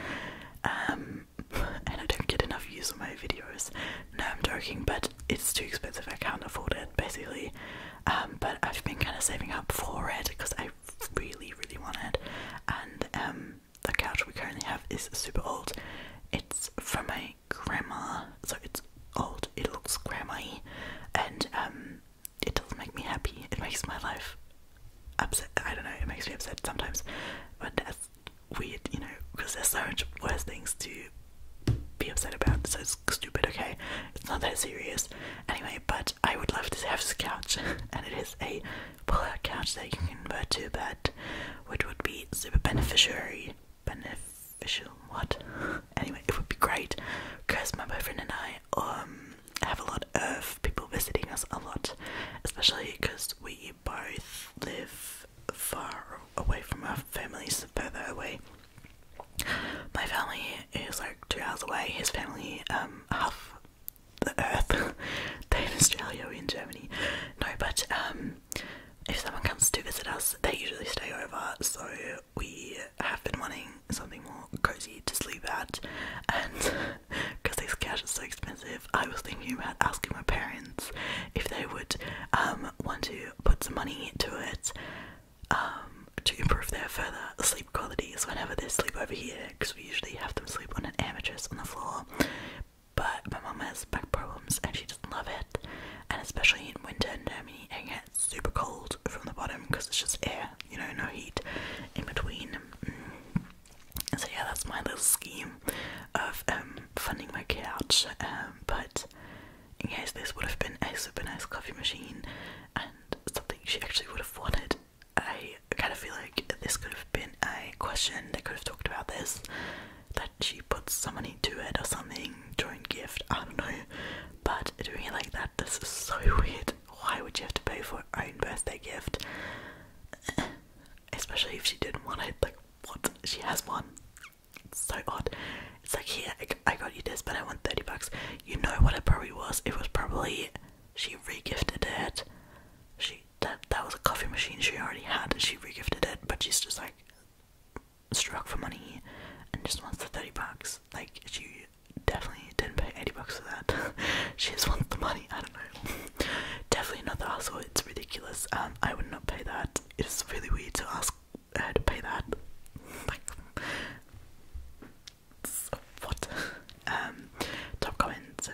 um, and I don't get enough views on my videos. No, I'm joking, but it's too expensive. I can't afford it. Basically, um, but I've been kind of saving up for it because I really, really want it. And um, the couch we currently have is super old. It's from my grandma, so it's old. It looks grandma and um, it doesn't make me happy. It makes my life upset. I don't know. It makes me upset sometimes, but that's weird, you know, because there's so much worse things to be upset about. So it's stupid, okay? It's not that serious. Anyway, but I would love to have this couch, and it is a pull-out couch that you can convert to a bed, which would be super beneficiary. Beneficial? What? Anyway, it would be great because my boyfriend and I um, have a lot of people visiting us a lot, especially because we both live far away from our families, further away. My family is like two hours away. His family, um, half the earth. They're in Australia, or in Germany. No, but um, if someone comes to visit us, they usually stay over. So we have been wanting something more cozy to sleep at, and because this couch is so expensive, I was thinking about asking my parents if they would um want to put some money into it. Um, to improve their further sleep qualities whenever they sleep over here, because we usually have them sleep on an air on the floor. But my mum has back problems and she doesn't love it, and especially in winter in Germany, it gets super cold from the bottom because it's just air, you know, no heat in between. Mm. So yeah, that's my little scheme of um, funding my couch. Um, but in case this would have been a super nice coffee machine, and something she actually would have wanted. I kind of feel like this could have been a question They could have talked about this, that she put some money to it or something during gift. I don't know, but doing it like that, this is so weird. Why would you have to pay for her own birthday gift? Especially if she didn't want it. Like, what? She has one. It's so odd. It's like, here, I got you this, but I want 30 bucks. You know what it probably was? It was probably she regifted it. She that that was a coffee machine she already had. She regifted it, but she's just like struck for money and just wants the 30 bucks. Like she definitely didn't pay 80 bucks for that. she just wants the money. I don't know. definitely not the hustle. It's ridiculous. Um, I would not pay that. It's really weird to ask her to pay that. Like um, top comments.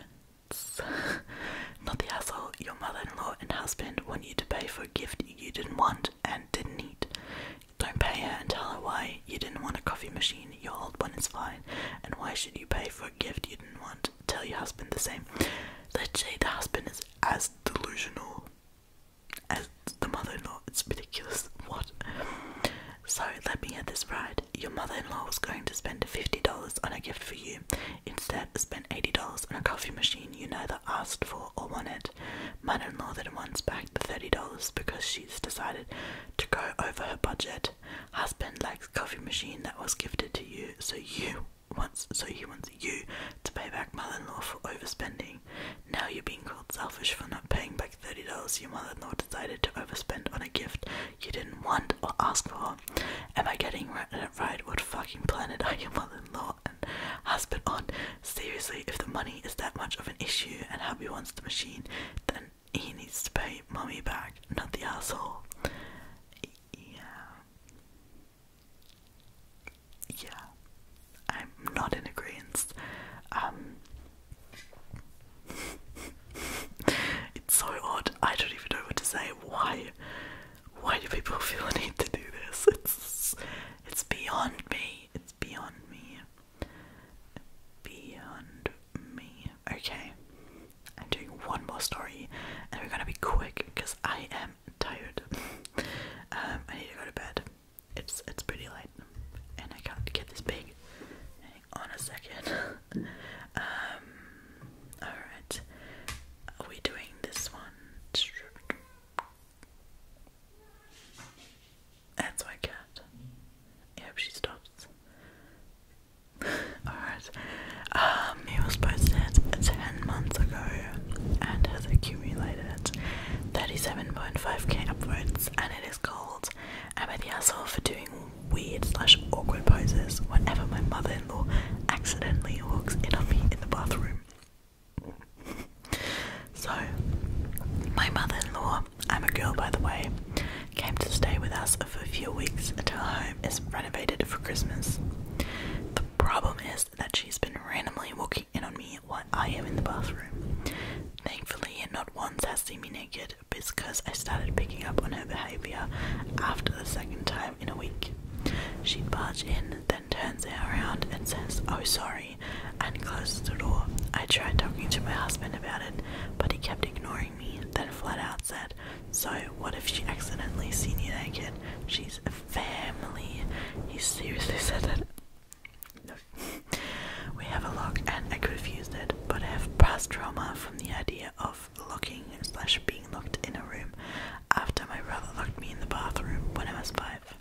Not the asshole. Your mother-in-law and husband want you to pay for a gift you didn't want and didn't need. Don't pay her and tell her why you didn't want a coffee machine. Your old one is fine. And why should you pay for a gift you didn't want? Tell your husband the same. Literally, the husband is as delusional as the mother-in-law. It's ridiculous. What? So let me add this right. Your mother-in-law was going to spend fifty dollars on a gift for you. Instead, spent eighty dollars on a coffee machine you neither asked for or wanted. Mother-in-law then wants back the thirty dollars because she's decided to go over her budget. Husband likes coffee machine that was gifted to you, so you wants so he wants you to pay back mother-in-law for overspending. Now you're being called selfish for not paying back $30 your mother in law decided to overspend on a gift you didn't want or ask for. Am I getting right? What fucking planet are your mother in law and husband on? Seriously, if the money is that much of an issue and hubby wants the machine, then he needs to pay mommy back, not the asshole. Yeah. Yeah. I'm not in agreement. Um, it's so odd. I don't even know what to say. Why? Why do people feel the need to do this? It's it's beyond me. It's beyond me. Beyond me. Okay. I'm doing one more story, and we're gonna be quick because I am tired. Um, I need to go to bed. It's it's pretty light, and I can't get this big. Hang on a second. um, all right. Are we doing this one? That's my cat. I she stops. Alright. Um, he was posted 10 months ago and has accumulated 37.5k upwards, and it is called. I the asshole for doing weird slash awkward poses whenever my mother-in-law accidentally walks in on me in the bathroom. so, my mother-in-law, I'm a girl by the way, came to stay with us for a few weeks until her home is renovated for Christmas. The problem is that she's been randomly walking walk on me while I am in the bathroom. Thankfully, not once has seen me naked because I started picking up on her behaviour after the second time in a week. She'd barge in, then turns around and says, Oh, sorry, and closes the door. I tried talking to my husband about it, but he kept ignoring me, then flat out said, So, what if she accidentally sees you naked? She's a family. He seriously said that. we have a lock and I could have used it, but I have past trauma from the idea of locking slash being locked in a room after my brother locked me in the bathroom when I was five.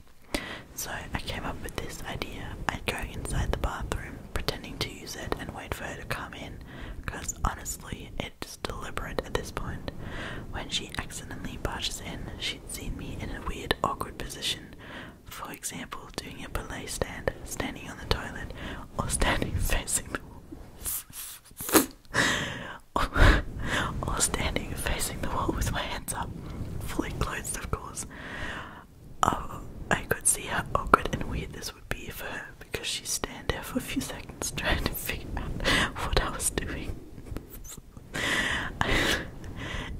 So I came up with this idea. I'd go inside the bathroom, pretending to use it and wait for her to come in, because honestly it's deliberate at this point. When she accidentally barges in, she'd see me in a weird, awkward position, for example, doing a ballet stand, standing on the toilet, or standing facing the wall. or, standing facing the wall with my hands up, fully clothed, of course. Oh, I could see how awkward and weird this would be for her because she stand there for a few seconds trying to figure out what I was doing.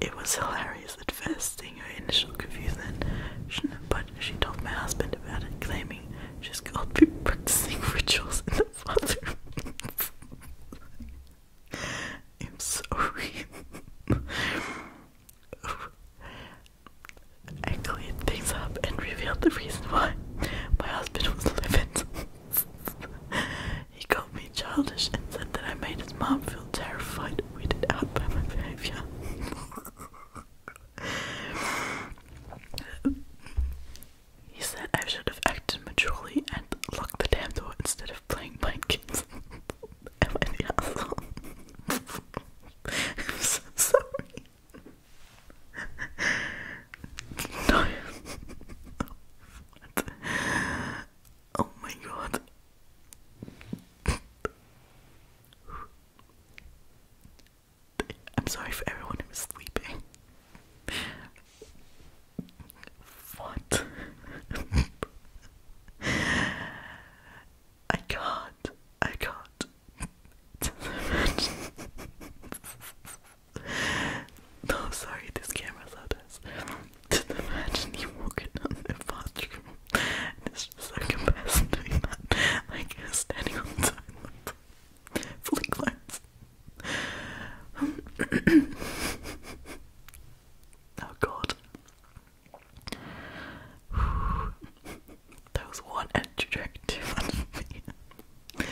it was hilarious is at first seeing her initial confusion, but she told my husband about it, claiming she's got people practicing rituals in the bathroom. I'm sorry. oh. I cleared things up and revealed the reason why my husband was livid. he called me childish and said that I made his mom feel terrified he said I should have acted maturely and locked the damn door instead of playing mind games. I'm so sorry. No. Oh my god. I'm sorry for everyone who sleeping. What? I can't. I can't. no, sorry, this camera's loud. Can just imagine you walking on the bathroom and it's just like a person doing that, like standing on the side, fully clothed. Um, oh god. that was one entry drink for me.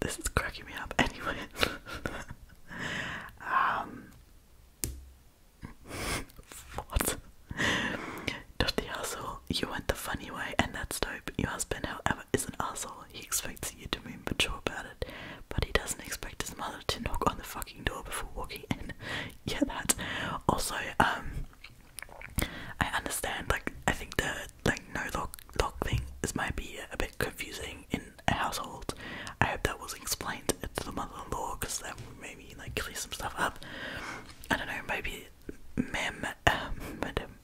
This is cracking me up anyway. Um, what? Dusty asshole, you went the funny way, and that's dope. Your husband, however, is an asshole. He expects you to be mature about it, but he doesn't expect his mother to knock on the fucking door before walking in. yeah, that. Also, um, I understand. Like, I think the like no lock lock thing is might be a bit confusing in a household. I hope that was explained to the mother-in-law because that may like clear some stuff up. I don't know, maybe Mem, uh, Madam,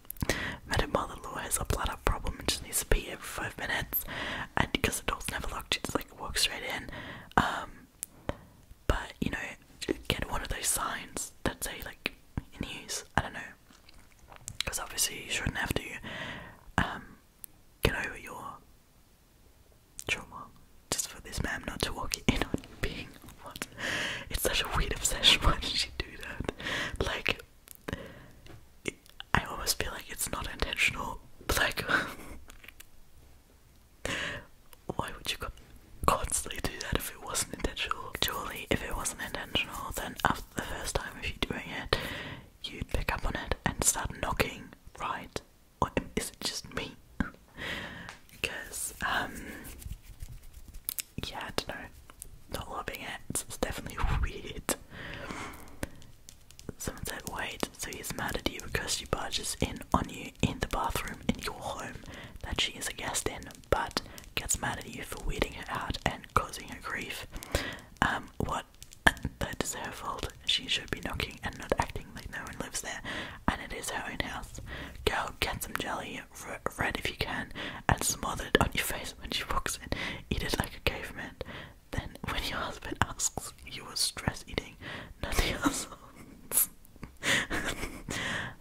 Madam mother law has a blood problem and just needs to pee every five minutes. And because the door's never locked, just like walks straight in. Um, but you know, get one of those signs that say like in use. I don't know, because obviously you shouldn't have to um, get over your just for this man not to walk in on being what? It's such a weird obsession. Why did she do that? Like, I almost feel like it's not intentional. Like, why would you constantly do that if it wasn't intentional? Surely, if it wasn't intentional, then after the first time of you doing it, you'd pick up on it and start knocking, right? is it just me? because um, yeah, I don't know. Not loving it. It's definitely weird. Someone said, "Wait, so he's mad at you because she barges in on you in the bathroom in your home that she is a guest in, but gets mad at you for weeding her out and causing her grief. Um, what? that is her fault she should be knocking and not acting like no one lives there, and it is her own house. Go get some jelly, red if you can, and smother it on your face when she walks in. Eat it like a caveman. Then, when your husband asks, you were stress eating, Not the else.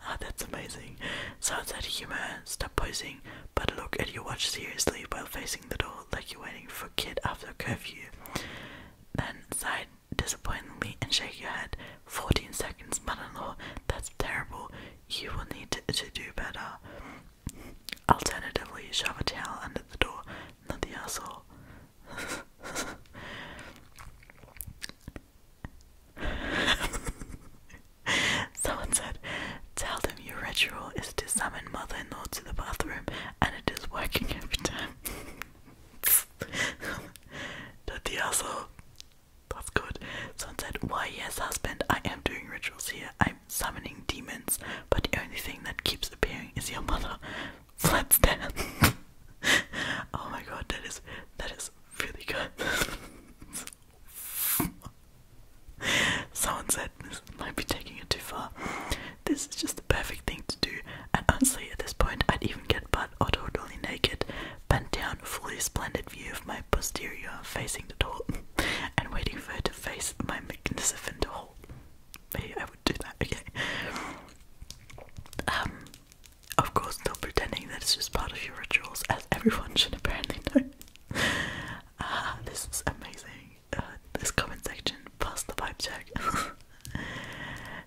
ah, that's amazing. So out of humor. Stop posing, but look at your watch seriously while facing the door like you're waiting for kid after curfew. Then, side disappointingly and shake your head. Fourteen seconds, mother in law, that's terrible. You will need to, do better. Alternatively, shove a towel under the door, not the asshole. Someone said, Tell them your ritual is to summon mother in law to the bathroom and it is working every time. that the asshole. That's good. Someone said, Why, yes, husband, I am doing rituals here. I'm summoning demons, but the only thing that keeps appearing is your mother. Flat stand. oh my god, that is that is really good. Someone said this might be taking it too far. This is just the perfect thing to do, and honestly, at this point, I'd even get butt or totally naked, bent down, a fully splendid view of my posterior facing the door, and waiting for her to face my magnificent hole. Maybe I would do that, okay? Um, of course, still pretending that it's just part of your rituals, as everyone should apparently know. Ah, this is amazing. Uh, this comment section, passed the pipe check.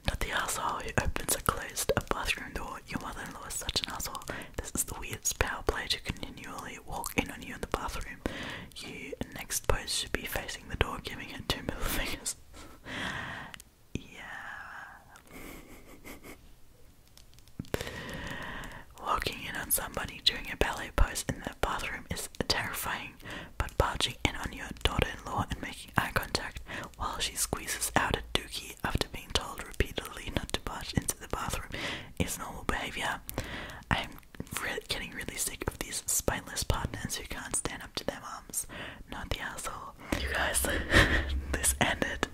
Not the asshole who opens or closed a bathroom door. Your mother-in-law is such an asshole. This is the weirdest power play to continually walk in on you in the bathroom. You next pose should be facing the door, giving it two middle fingers. yeah. Walking in on somebody doing a ballet pose in the bathroom is terrifying but barging in on your daughter-in-law and making eye contact while she squeezes out a dookie after being told repeatedly not to barge into the bathroom is normal behavior. I'm getting really sick of these spineless partners who can't stand up to their moms. Not the asshole. You guys, this ended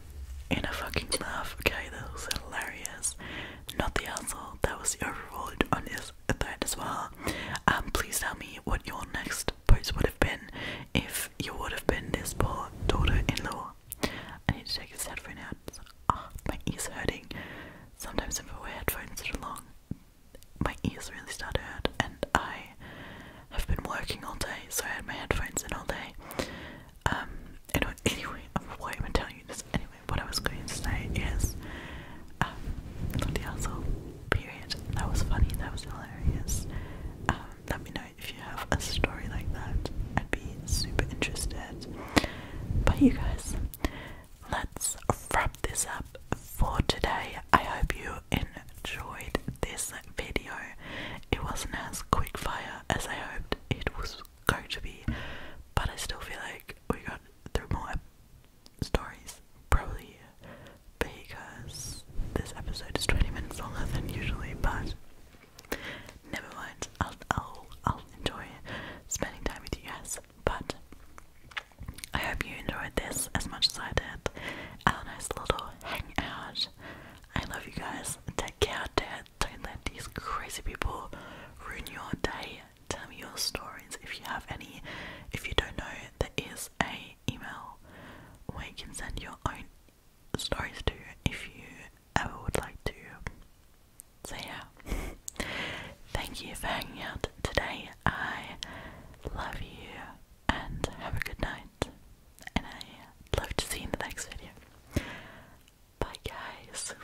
in a fucking laugh. Okay, that was hilarious. Not the asshole. That was the overall on this thread as well. Um, please tell me what your next post would have been if you would have been this poor daughter-in-law. I need to take his headphone out. Ah, oh, my ears hurting. Sometimes if I wear headphones too long, my ears really start to hurt, and I have been working all day, so I had my headphones in all day. Um, anyway, anyway, why am I telling you this? Anyway, what I was going to say is um, Lodiazo, oh, period. That was funny, that was hilarious. Um, let me know if you have a story like that. I'd be super interested. But you guys, let's wrap this up for today. I hope you enjoyed this video. It wasn't as quick fire as I hoped it was going to be, but I still feel like we got through more stories, probably because this episode is 20 minutes longer than usually, but never mind, I'll, I'll, I'll enjoy spending time with you guys, but I hope you enjoyed this as much as I did, a nice little hangout, I love you guys, take care, Dad, don't let these crazy people ruin your day, tell me your stories if you have any, if you don't know, there is a email where you can send your own stories to if you ever would like to. So, yeah, thank you for hanging out today. I love you and have a good night. And i love to see in the next video. Bye, guys.